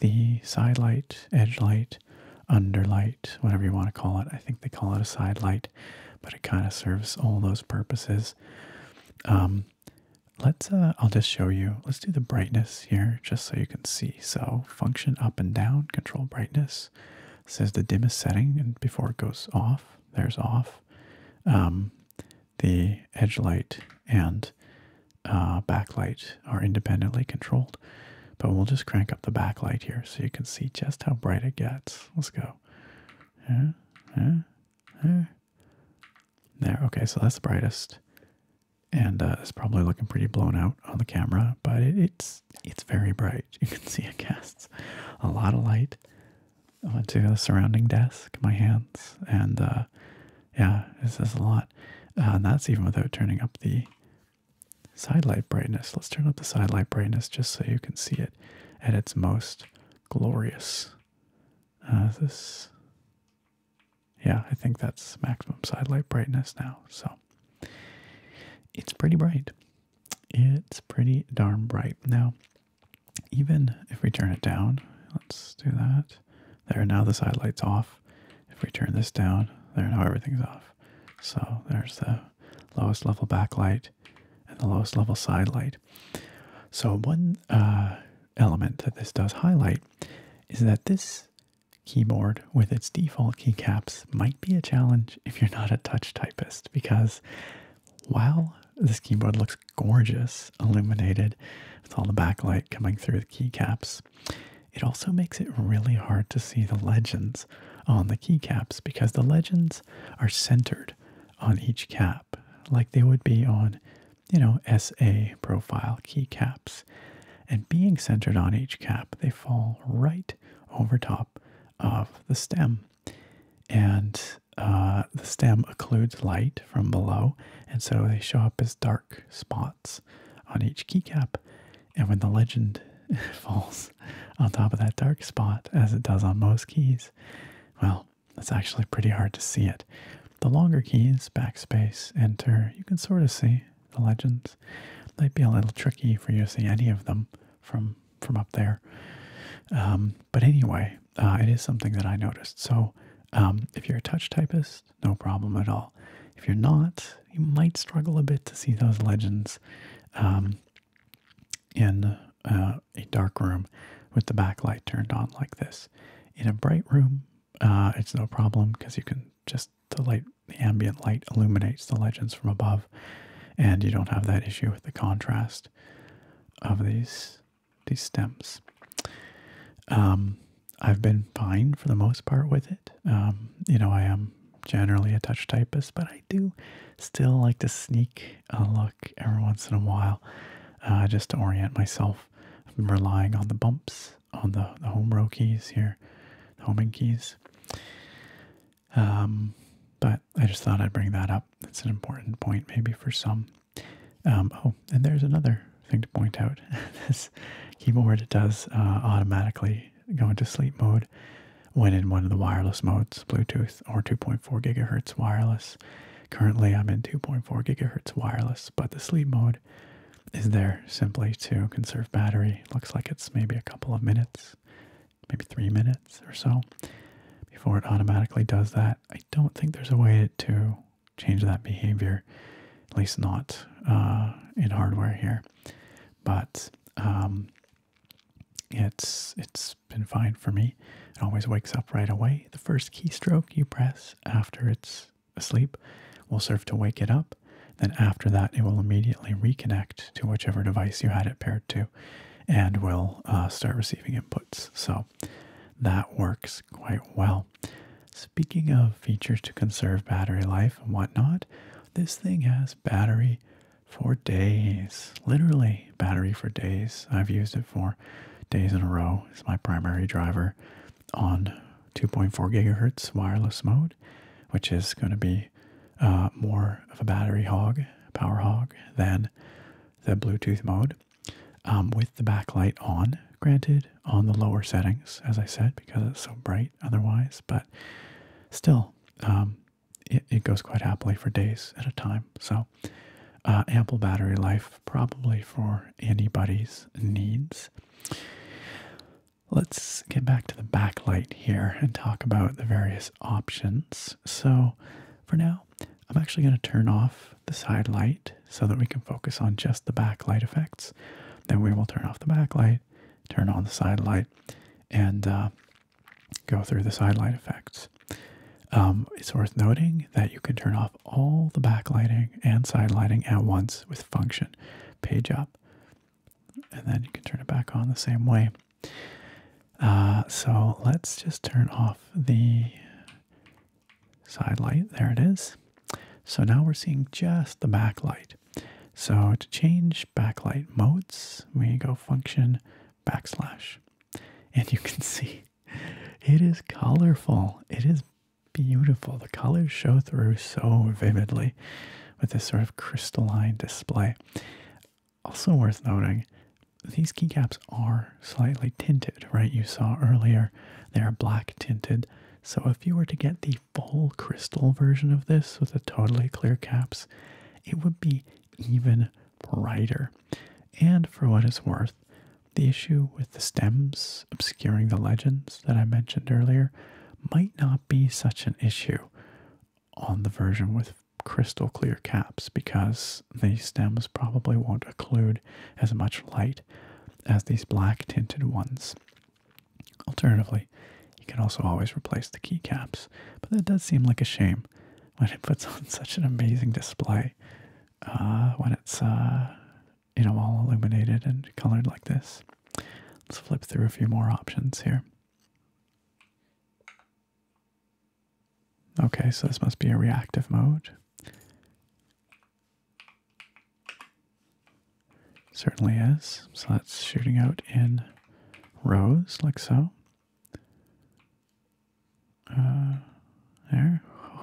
the side light, edge light, under light, whatever you want to call it. I think they call it a side light, but it kind of serves all those purposes. Um, let's, uh, I'll just show you. Let's do the brightness here just so you can see. So function up and down, control brightness. says the dimmest setting and before it goes off, there's off. Um, the edge light and uh, backlight are independently controlled. But we'll just crank up the backlight here so you can see just how bright it gets. Let's go. There, okay, so that's the brightest. And uh, it's probably looking pretty blown out on the camera, but it's it's very bright. You can see it casts a lot of light I went to the surrounding desk, my hands, and uh, yeah, this is a lot. Uh, and that's even without turning up the side light brightness. Let's turn up the side light brightness just so you can see it at its most glorious. Uh, this, yeah, I think that's maximum side light brightness now. So it's pretty bright. It's pretty darn bright. Now, even if we turn it down, let's do that. There, now the side light's off. If we turn this down, there, now everything's off. So there's the lowest level backlight and the lowest level side light. So one uh, element that this does highlight is that this keyboard with its default keycaps might be a challenge if you're not a touch typist because while this keyboard looks gorgeous, illuminated with all the backlight coming through the keycaps. It also makes it really hard to see the legends on the keycaps because the legends are centered on each cap, like they would be on, you know, SA profile keycaps. And being centered on each cap, they fall right over top of the stem and uh, the stem occludes light from below, and so they show up as dark spots on each keycap. And when the legend falls on top of that dark spot, as it does on most keys, well, it's actually pretty hard to see it. The longer keys, backspace, enter, you can sort of see the legends. Might be a little tricky for you to see any of them from from up there. Um, but anyway, uh, it is something that I noticed. So um, if you're a touch typist, no problem at all. If you're not, you might struggle a bit to see those legends um, in uh, a dark room with the backlight turned on like this. In a bright room, uh, it's no problem because you can just the light, the ambient light illuminates the legends from above, and you don't have that issue with the contrast of these these stems. Um, I've been fine for the most part with it. Um, you know, I am generally a touch typist, but I do still like to sneak a look every once in a while uh, just to orient myself. relying on the bumps on the, the home row keys here, the homing keys. Um, but I just thought I'd bring that up. That's an important point, maybe for some. Um, oh, and there's another thing to point out. this keyboard does uh, automatically go into sleep mode when in one of the wireless modes, Bluetooth or 2.4 gigahertz wireless. Currently, I'm in 2.4 gigahertz wireless, but the sleep mode is there simply to conserve battery. Looks like it's maybe a couple of minutes, maybe three minutes or so before it automatically does that. I don't think there's a way to change that behavior, at least not uh, in hardware here. But um, it's it's been fine for me. It always wakes up right away. The first keystroke you press after it's asleep will serve to wake it up. Then after that, it will immediately reconnect to whichever device you had it paired to, and will uh, start receiving input. So that works quite well. Speaking of features to conserve battery life and whatnot, this thing has battery for days. Literally, battery for days. I've used it for days in a row. It's my primary driver on 2.4 gigahertz wireless mode, which is going to be uh, more of a battery hog, power hog, than the Bluetooth mode um, with the backlight on, granted, on the lower settings, as I said, because it's so bright otherwise, but still, um, it, it goes quite happily for days at a time. So, uh, ample battery life, probably for anybody's needs. Let's get back to the backlight here and talk about the various options. So, for now, I'm actually going to turn off the side light so that we can focus on just the backlight effects. Then we will turn off the backlight, turn on the side light, and uh, go through the side light effects. Um, it's worth noting that you can turn off all the backlighting and side lighting at once with function page up, and then you can turn it back on the same way. Uh, so let's just turn off the side light. There it is. So now we're seeing just the backlight. So to change backlight modes, we go function backslash. And you can see it is colorful. It is beautiful. The colors show through so vividly with this sort of crystalline display. Also worth noting, these keycaps are slightly tinted, right? You saw earlier they are black tinted. So if you were to get the full crystal version of this with the totally clear caps, it would be even brighter. And for what it's worth, the issue with the stems obscuring the legends that I mentioned earlier might not be such an issue on the version with crystal clear caps because these stems probably won't occlude as much light as these black tinted ones. Alternatively, you can also always replace the keycaps, but that does seem like a shame when it puts on such an amazing display uh, when it's uh, you know all illuminated and colored like this. Let's flip through a few more options here. Okay, so this must be a reactive mode. Certainly is. So that's shooting out in rows like so. Uh, there.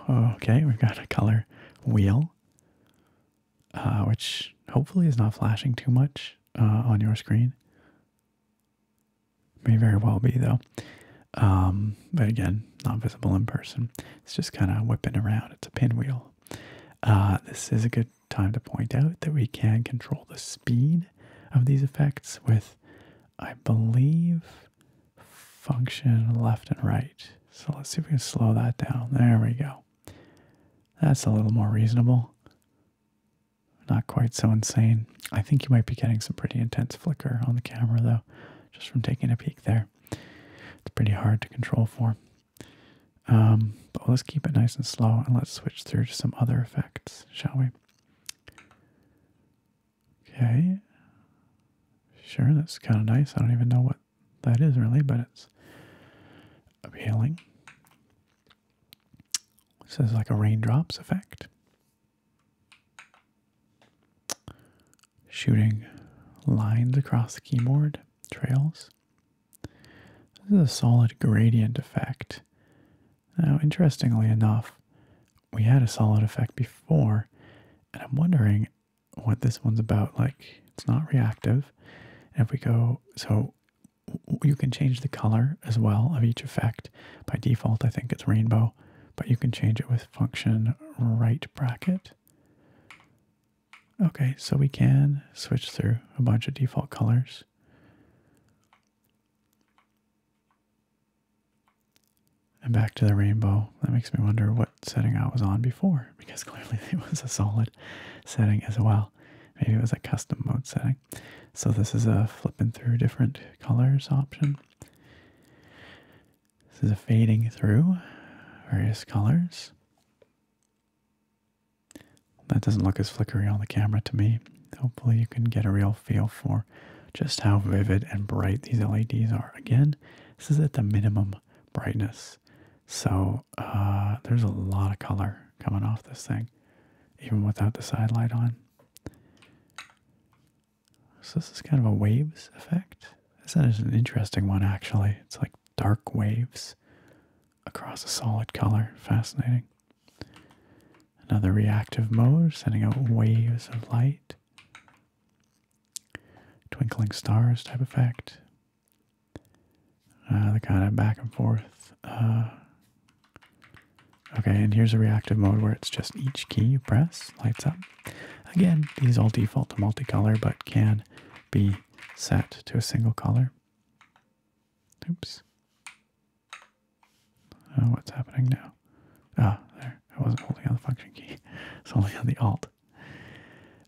okay, we've got a color wheel, uh, which hopefully is not flashing too much uh, on your screen. May very well be though. Um, but again, not visible in person. It's just kind of whipping around. It's a pinwheel. Uh, this is a good time to point out that we can control the speed of these effects with, I believe, function left and right. So let's see if we can slow that down. There we go. That's a little more reasonable. Not quite so insane. I think you might be getting some pretty intense flicker on the camera though, just from taking a peek there. It's pretty hard to control for. Um, but let's keep it nice and slow and let's switch through to some other effects, shall we? Okay. Sure, that's kind of nice. I don't even know what that is really, but it's appealing. This is like a raindrops effect shooting lines across the keyboard trails. This is a solid gradient effect. Now, interestingly enough, we had a solid effect before, and I'm wondering what this one's about. Like, it's not reactive. if we go, so you can change the color as well of each effect. By default, I think it's rainbow, but you can change it with function right bracket. Okay, so we can switch through a bunch of default colors. And back to the rainbow. That makes me wonder what setting I was on before, because clearly it was a solid setting as well. Maybe it was a custom mode setting. So this is a flipping through different colors option. This is fading through various colors. That doesn't look as flickery on the camera to me. Hopefully you can get a real feel for just how vivid and bright these LEDs are. Again, this is at the minimum brightness. So uh, there's a lot of color coming off this thing, even without the side light on. So this is kind of a waves effect. This is an interesting one actually. It's like dark waves across a solid color. Fascinating. Another reactive mode, sending out waves of light. Twinkling stars type effect. Uh, the kind of back and forth. Uh, okay, and here's a reactive mode where it's just each key you press lights up. Again, these all default to multicolor but can be set to a single color. Oops. Oh, what's happening now? Ah, oh, there. I wasn't holding on the function key. It's only on the alt.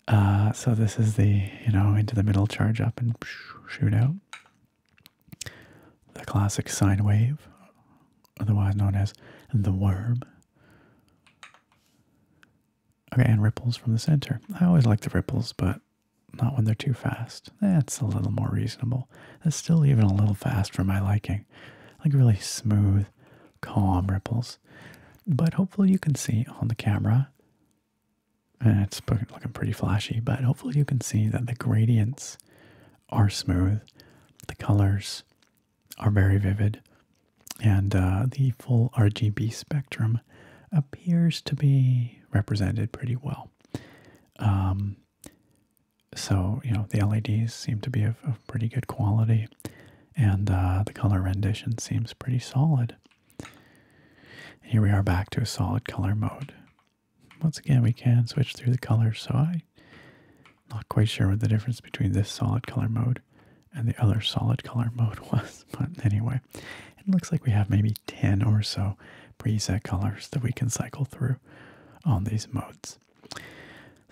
Uh, so this is the, you know, into the middle, charge up and shoot out. The classic sine wave, otherwise known as the worm. Okay, and ripples from the center. I always like the ripples, but not when they're too fast. That's a little more reasonable. That's still even a little fast for my liking. Like really smooth, calm ripples. But hopefully you can see on the camera, and it's looking pretty flashy, but hopefully you can see that the gradients are smooth. The colors are very vivid, and uh, the full RGB spectrum appears to be represented pretty well. Um, so, you know, the LEDs seem to be of, pretty good quality, and uh, the color rendition seems pretty solid. And here we are back to a solid color mode. Once again, we can switch through the colors, so I'm not quite sure what the difference between this solid color mode and the other solid color mode was. But anyway, it looks like we have maybe 10 or so preset colors that we can cycle through on these modes.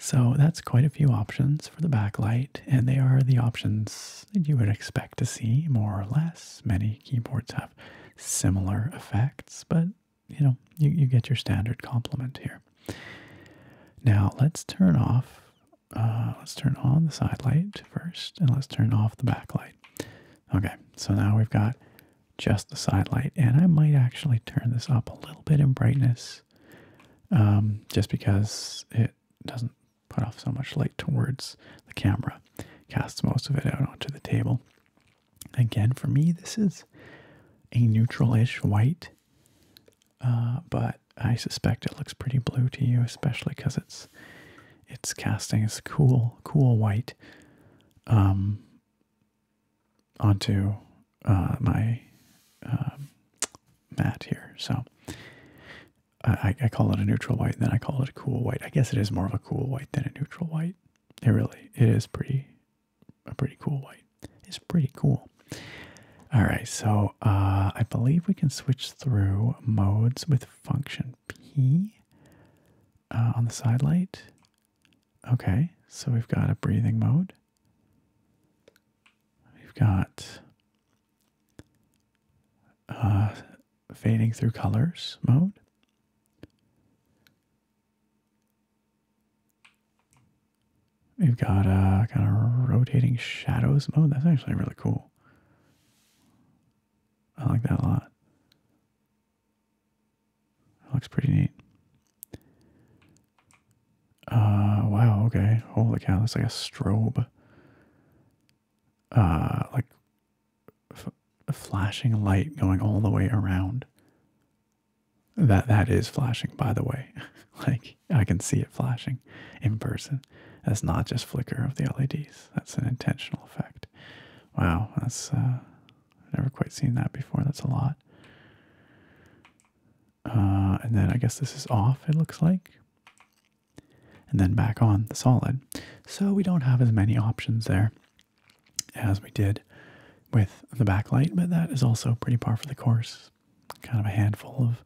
So that's quite a few options for the backlight, and they are the options that you would expect to see more or less. Many keyboards have similar effects, but you know, you, get your standard complement here. Now let's turn off uh, let's turn on the side light first and let's turn off the backlight. Okay, so now we've got just the side light, and I might actually turn this up a little bit in brightness um, just because it doesn't put off so much light towards the camera, casts most of it out onto the table. Again, for me, this is a neutral ish white. Uh, but I suspect it looks pretty blue to you, especially because it's it's casting a cool, cool white um, onto uh, my uh, um, mat here. So I, call it a neutral white, then I call it a cool white. I guess it is more of a cool white than a neutral white. It really it is pretty a pretty cool white. It's pretty cool. All right, so uh, I believe we can switch through modes with function P uh, on the side light. Okay, so we've got a breathing mode. We've got uh, fading through colors mode. We've got a uh, kind of rotating shadows mode. That's actually really cool. I like that a lot. That looks pretty neat. Uh, wow, okay. Holy cow, that's like a strobe. Uh, like a flashing light going all the way around. That that is flashing, by the way. like I can see it flashing in person. That's not just flicker of the LEDs. That's an intentional effect. Wow, that's uh, never quite seen that before. That's a lot. Uh, and then I guess this is off. It looks like. And then back on the solid. So we don't have as many options there as we did with the backlight, but that is also pretty par for the course kind of a handful of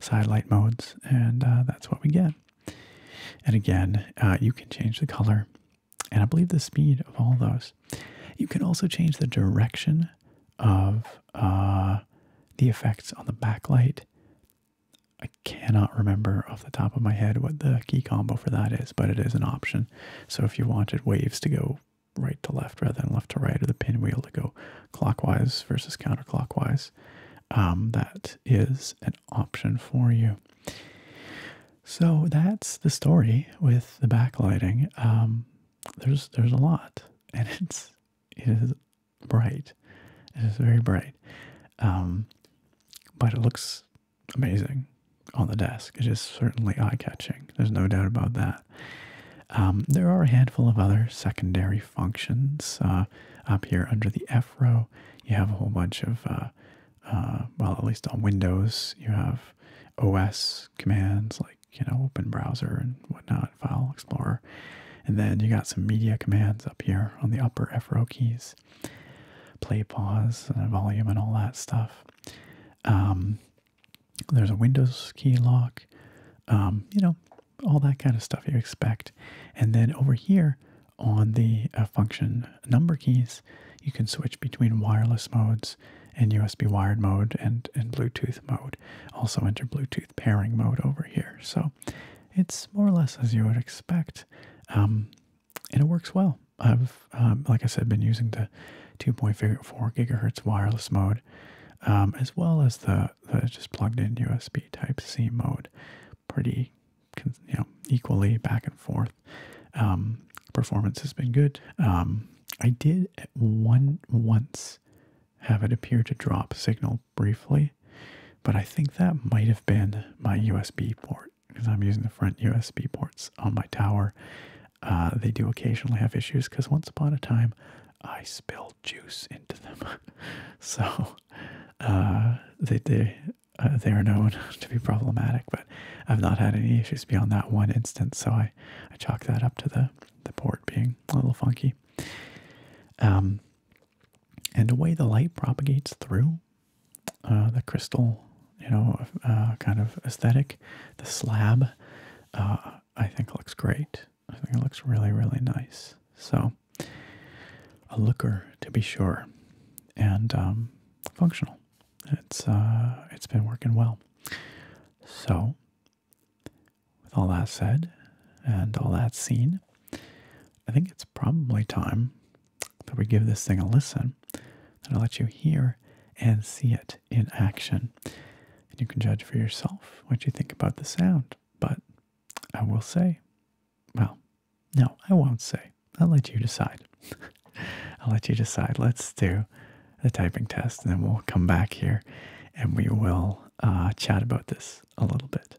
side light modes, and uh, that's what we get. And again, uh, you can change the color and I believe the speed of all those. You can also change the direction of uh, the effects on the backlight. I cannot remember off the top of my head what the key combo for that is, but it is an option. So if you wanted waves to go right to left rather than left to right, or the pinwheel to go clockwise versus counterclockwise, um, that is an option for you. So that's the story with the backlighting. Um, there's there's a lot, and it's it is bright. It is very bright, um, but it looks amazing on the desk. It is certainly eye catching. There's no doubt about that. Um, there are a handful of other secondary functions uh, up here under the F row. You have a whole bunch of, uh, uh, well, at least on Windows, you have OS commands like, you know, open browser and whatnot, file explorer. And then you got some media commands up here on the upper F row keys play, pause, and volume, and all that stuff. Um, there's a Windows key lock. Um, you know, all that kind of stuff you expect. And then over here on the uh, function number keys, you can switch between wireless modes and USB wired mode and, and Bluetooth mode. Also enter Bluetooth pairing mode over here. So it's more or less as you would expect. Um, and it works well. I've, um, like I said, been using the 2.4 gigahertz wireless mode um, as well as the that is just plugged in USB Type C mode, pretty you know equally back and forth. Um, performance has been good. Um, I did one once have it appear to drop signal briefly, but I think that might have been my USB port because I'm using the front USB ports on my tower. Uh, they do occasionally have issues because once upon a time I spilled juice into them. so uh, they they uh, they are known to be problematic, but I've not had any issues beyond that one instance. So I I chalk that up to the the port being a little funky. Um, and the way the light propagates through uh, the crystal, you know, kind of aesthetic, the slab, I think looks great. I think it looks really, really nice. So, a looker to be sure, and um, functional. It's uh, it's been working well. So, with all that said, and all that seen, I think it's probably time that we give this thing a listen. That I'll let you hear and see it in action, and you can judge for yourself what you think about the sound. But I will say, well, no, I won't say. I'll let you decide. I'll let you decide. Let's do the typing test and then we'll come back here and we will uh, chat about this a little bit.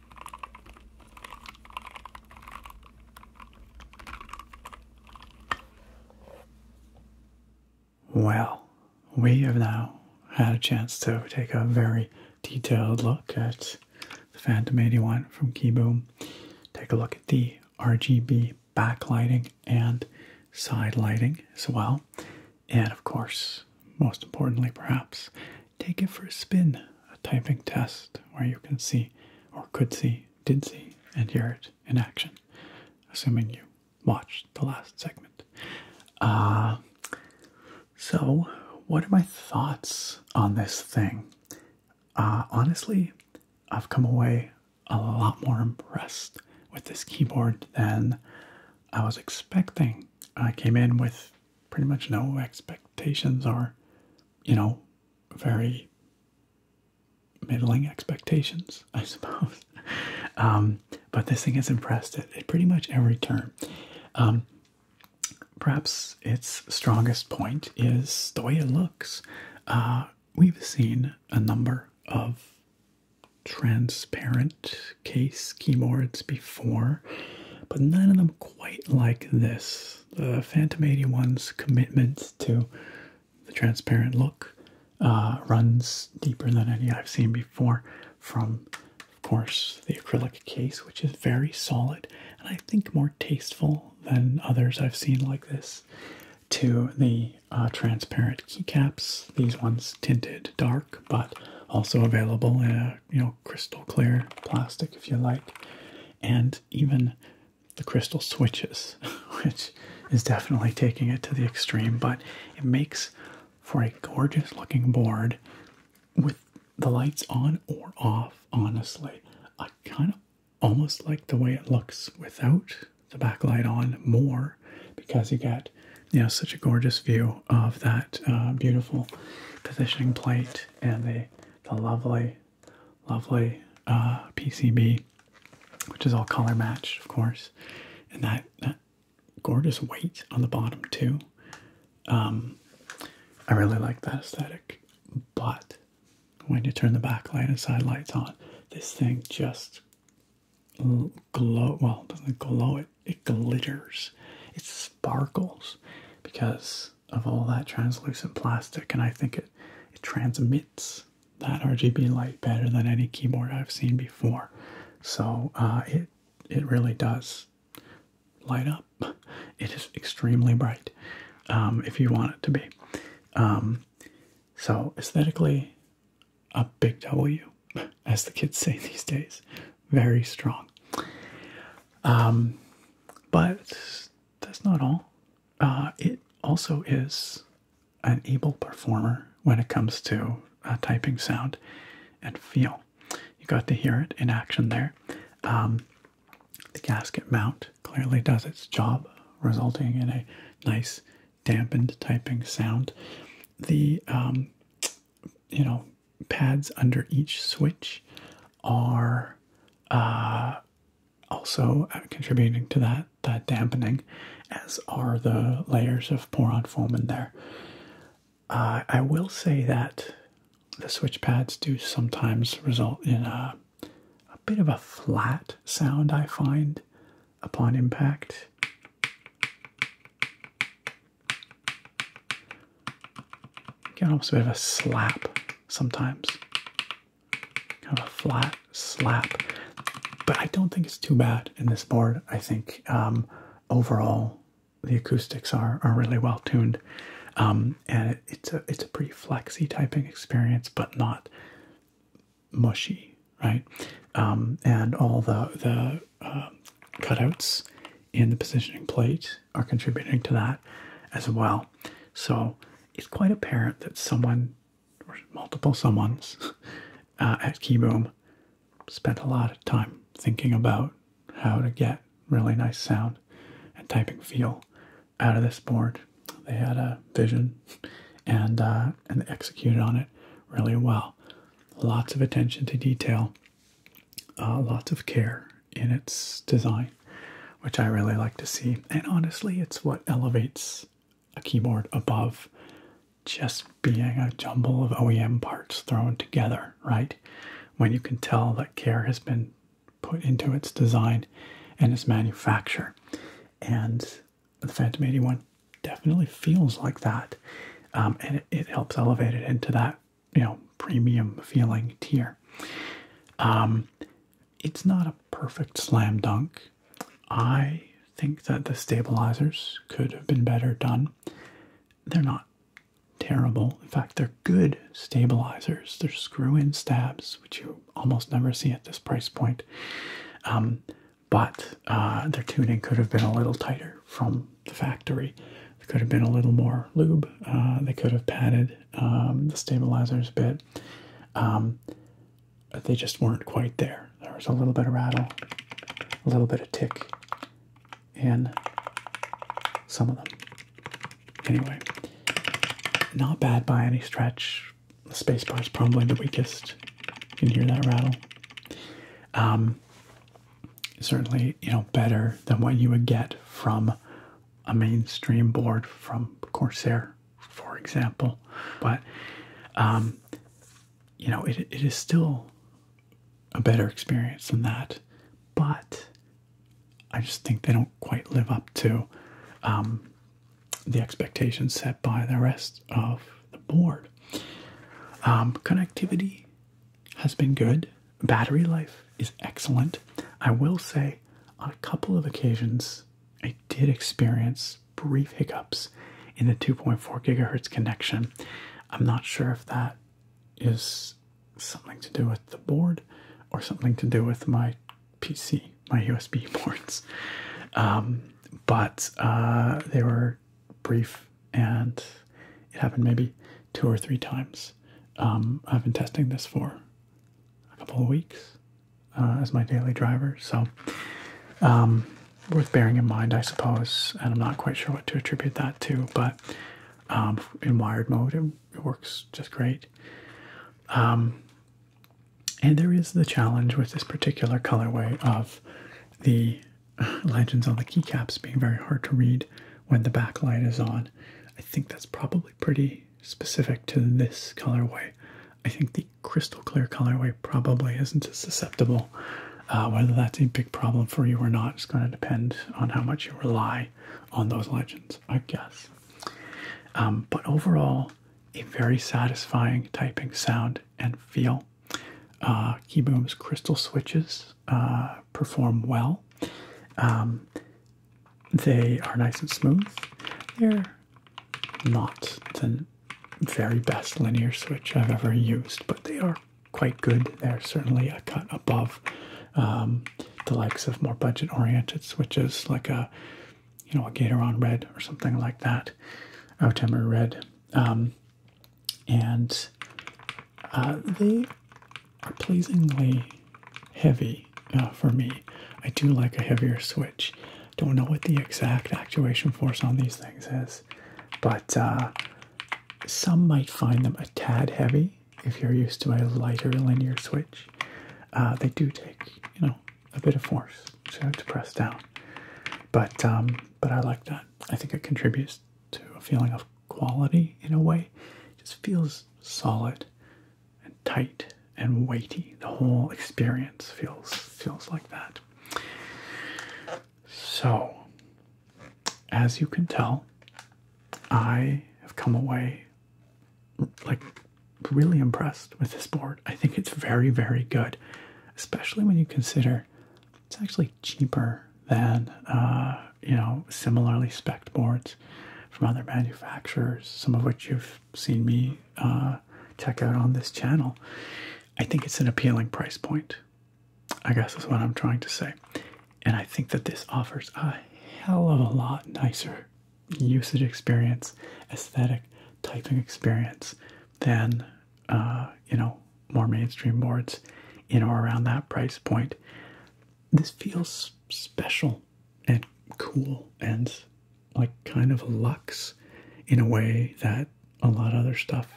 Well, we have now had a chance to take a very detailed look at the Phantom 81 from Keyboom, take a look at the RGB backlighting and side lighting as well, and of course, most importantly, perhaps, Take it for a spin, a typing test where you can see, or could see, did see, and hear it in action, assuming you watched the last segment. Uh, so, what are my thoughts on this thing? Uh, honestly, I've come away a lot more impressed with this keyboard than I was expecting. I came in with pretty much no expectations or, you know, very middling expectations, I suppose. Um, but this thing has impressed it at pretty much every turn. Um, perhaps its strongest point is the way it looks. Uh, we've seen a number of transparent case keyboards before, but none of them quite like this uh, Phantom 81's commitment to the transparent look uh, runs deeper than any I've seen before from, of course, the acrylic case, which is very solid and I think more tasteful than others I've seen like this, to the uh, transparent keycaps, these ones tinted dark, but also available in a you know crystal clear plastic if you like and even the crystal switches, which is definitely taking it to the extreme, but it makes for a gorgeous looking board with the lights on or off. Honestly, I kind of almost like the way it looks without the backlight on more because you get you know such a gorgeous view of that uh, beautiful positioning plate and the the lovely lovely uh, PCB, which is all color matched, of course, and that, that gorgeous white on the bottom too. Um, I really like that aesthetic, but when you turn the backlight and side lights on, this thing just glow. Well, it doesn't glow. It it glitters. It sparkles because of all that translucent plastic, and I think it, it transmits that RGB light better than any keyboard I've seen before. So uh, it it really does light up. It is extremely bright um, if you want it to be. Um, so aesthetically, a big W, as the kids say these days, very strong. Um, but that's not all. Uh, it also is an able performer when it comes to uh, typing sound and feel. You got to hear it in action there. Um, the gasket mount clearly does its job, resulting in a nice dampened typing sound. The um, you know pads under each switch are uh, also uh, contributing to that that dampening, as are the layers of poron foam in there. Uh, I will say that the switch pads do sometimes result in a, bit of a flat sound. I find upon impact. Get almost a bit a slap sometimes. Kind of a flat slap. But I don't think it's too bad in this board. I think um, overall the acoustics are, are really well tuned. Um, and it's a it's a pretty flexy typing experience, but not mushy, right? Um, and all the the uh, cutouts in the positioning plate are contributing to that as well. So it's quite apparent that someone, or multiple someone's uh, at Keyboom, spent a lot of time thinking about how to get really nice sound and typing feel out of this board. They had a vision and, uh, and executed on it really well. Lots of attention to detail, uh, lots of care in its design, which I really like to see. And honestly, it's what elevates a keyboard above just being a jumble of OEM parts thrown together, right? When you can tell that care has been put into its design and its manufacture. And the Phantom 81 definitely feels like that. Um, and it, it, helps elevate it into that, you know, premium feeling tier. Um, it's not a perfect slam dunk. I think that the stabilizers could have been better done. They're not terrible. In fact, they're good stabilizers. They're screw in stabs, which you almost never see at this price point. Um, but uh, their tuning could have been a little tighter from the factory. They could have been a little more lube. Uh, they could have padded um, the stabilizers bit um, they just weren't quite there there was a little bit of rattle a little bit of tick in some of them anyway not bad by any stretch the spacebar is probably the weakest you can hear that rattle um, certainly you know better than what you would get from a mainstream board from Corsair, for example. But, um, you know, it, it is still a better experience than that. But I just think they don't quite live up to um, the expectations set by the rest of the board. Um, connectivity has been good. Battery life is excellent. I will say on a couple of occasions, I did experience brief hiccups in the 2.4 gigahertz connection. I'm not sure if that is something to do with the board or something to do with my PC, my USB ports. Um, but uh, they were brief and it happened maybe two or three times. Um, I've been testing this for a couple of weeks, uh, as my daily driver. So, um, worth bearing in mind, I suppose. And I'm not quite sure what to attribute that to, but um, in wired mode, it, works just great. Um, and there is the challenge with this particular colorway of the legends on the keycaps being very hard to read when the backlight is on. I think that's probably pretty specific to this colorway. I think the crystal clear colorway probably isn't as susceptible. Uh, whether that's a big problem for you or not is going to depend on how much you rely on those legends, I guess. Um, but overall, a very satisfying typing sound and feel. Uh, Keyboom's crystal switches uh, perform well. Um, they are nice and smooth. They're not the very best linear switch I've ever used, but they are quite good. They're certainly a cut above um, the likes of more budget-oriented switches, like a you know a Gatoron Red or something like that, Outemer Red, um, and uh, they are pleasingly heavy uh, for me. I do like a heavier switch. Don't know what the exact actuation force on these things is, but uh, some might find them a tad heavy if you're used to a lighter linear switch. Uh, they do take, you know, a bit of force to, press down, but um, but I like that. I think it contributes to a feeling of quality in a way. It just feels solid and tight and weighty. The whole experience feels feels like that. So, as you can tell, I have come away like really impressed with this board. I think it's very, very good, especially when you consider it's actually cheaper than uh, you know similarly spec boards from other manufacturers, some of which you've seen me uh, check out on this channel. I think it's an appealing price point. I guess is what I'm trying to say. And I think that this offers a hell of a lot nicer usage experience, aesthetic typing experience than, uh, you know, more mainstream boards in or around that price point. This feels special and cool and like kind of luxe in a way that a lot of other stuff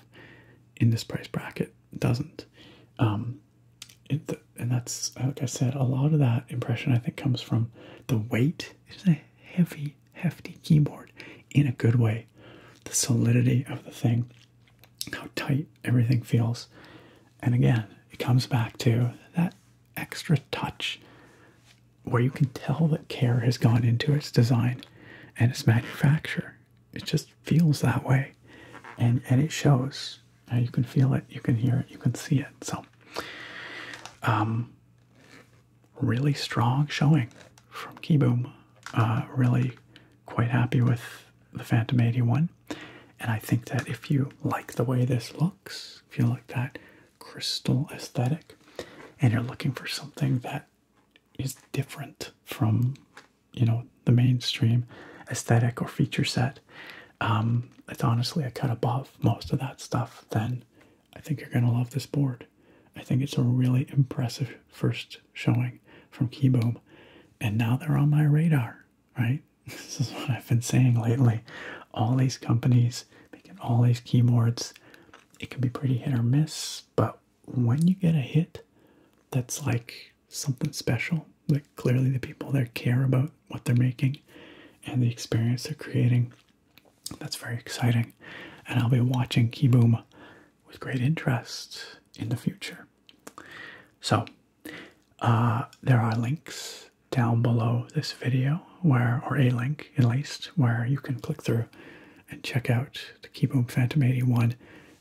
in this price bracket doesn't. Um, and that's, like I said, a lot of that impression I think comes from the weight. It's heavy, hefty keyboard in a good way. The solidity of the thing, how tight everything feels. And again, it comes back to that extra touch where you can tell that care has gone into its design and its manufacture. It just feels that way, and and it shows. Uh, you can feel it, you can hear it, you can see it. So, um, really strong showing from Keyboom. Uh, really quite happy with the Phantom 81. And I think that if you like the way this looks, if you like that crystal aesthetic and you're looking for something that is different from you know the mainstream aesthetic or feature set um, it's honestly a cut above most of that stuff then i think you're going to love this board i think it's a really impressive first showing from keyboom and now they're on my radar right this is what i've been saying lately all these companies making all these keyboards. It can be pretty hit or miss, but when you get a hit that's like something special, like clearly the people there care about what they're making and the experience they're creating, that's very exciting. And I'll be watching Keyboom with great interest in the future. So, uh, there are links down below this video where or a link at least where you can click through and check out the Keyboom Phantom 81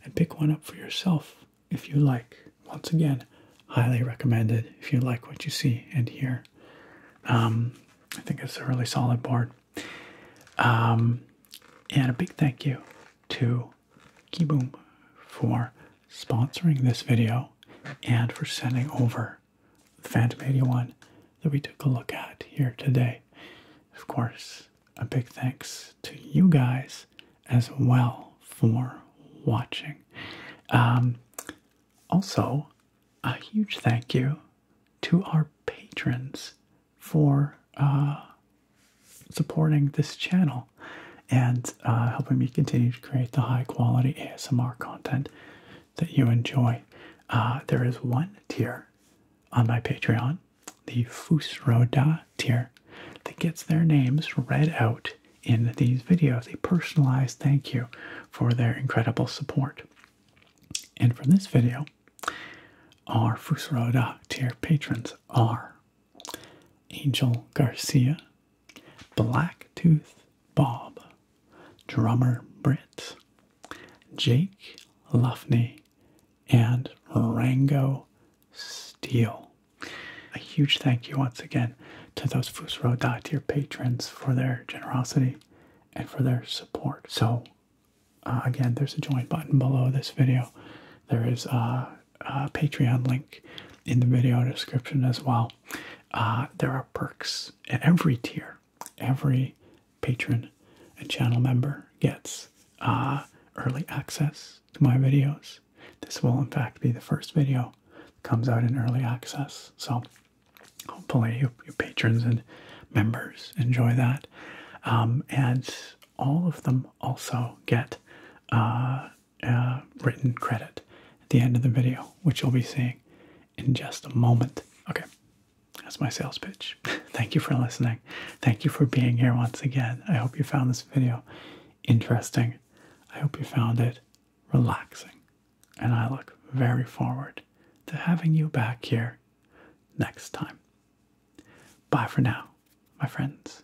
and pick one up for yourself if you like. Once again, highly recommended if you like what you see and hear. Um, I think it's a really solid board. Um, and a big thank you to Keyboom for sponsoring this video and for sending over Phantom 81 that we took a look at here today. Of course, a big thanks to you guys as well for watching. Um, also, a huge thank you to our patrons for uh, supporting this channel and uh, helping me continue to create the high quality ASMR content that you enjoy. Uh, there is one tier on my Patreon, the Fusroda tier, that gets their names read out in these videos, a personalized thank you for their incredible support. And for this video, our Fusroda tier patrons are Angel Garcia, Blacktooth Bob, drummer Britt, Jake Luffney, and Rango Steele. A huge thank you once again to those Fusro Dot tier patrons for their generosity and for their support. So, uh, again, there's a join button below this video. There is a, Patreon link in the video description as well. Uh, there are perks at every tier every patron and channel member gets uh, early access to my videos. This will, in fact, be the first video that comes out in early access. So, hopefully, your patrons and members enjoy that. Um, and all of them also get uh, uh, written credit at the end of the video, which you'll be seeing in just a moment. Okay, that's my sales pitch. Thank you for listening. Thank you for being here once again. I hope you found this video interesting. I hope you found it relaxing. And I look very forward to having you back here next time. Bye for now, my friends.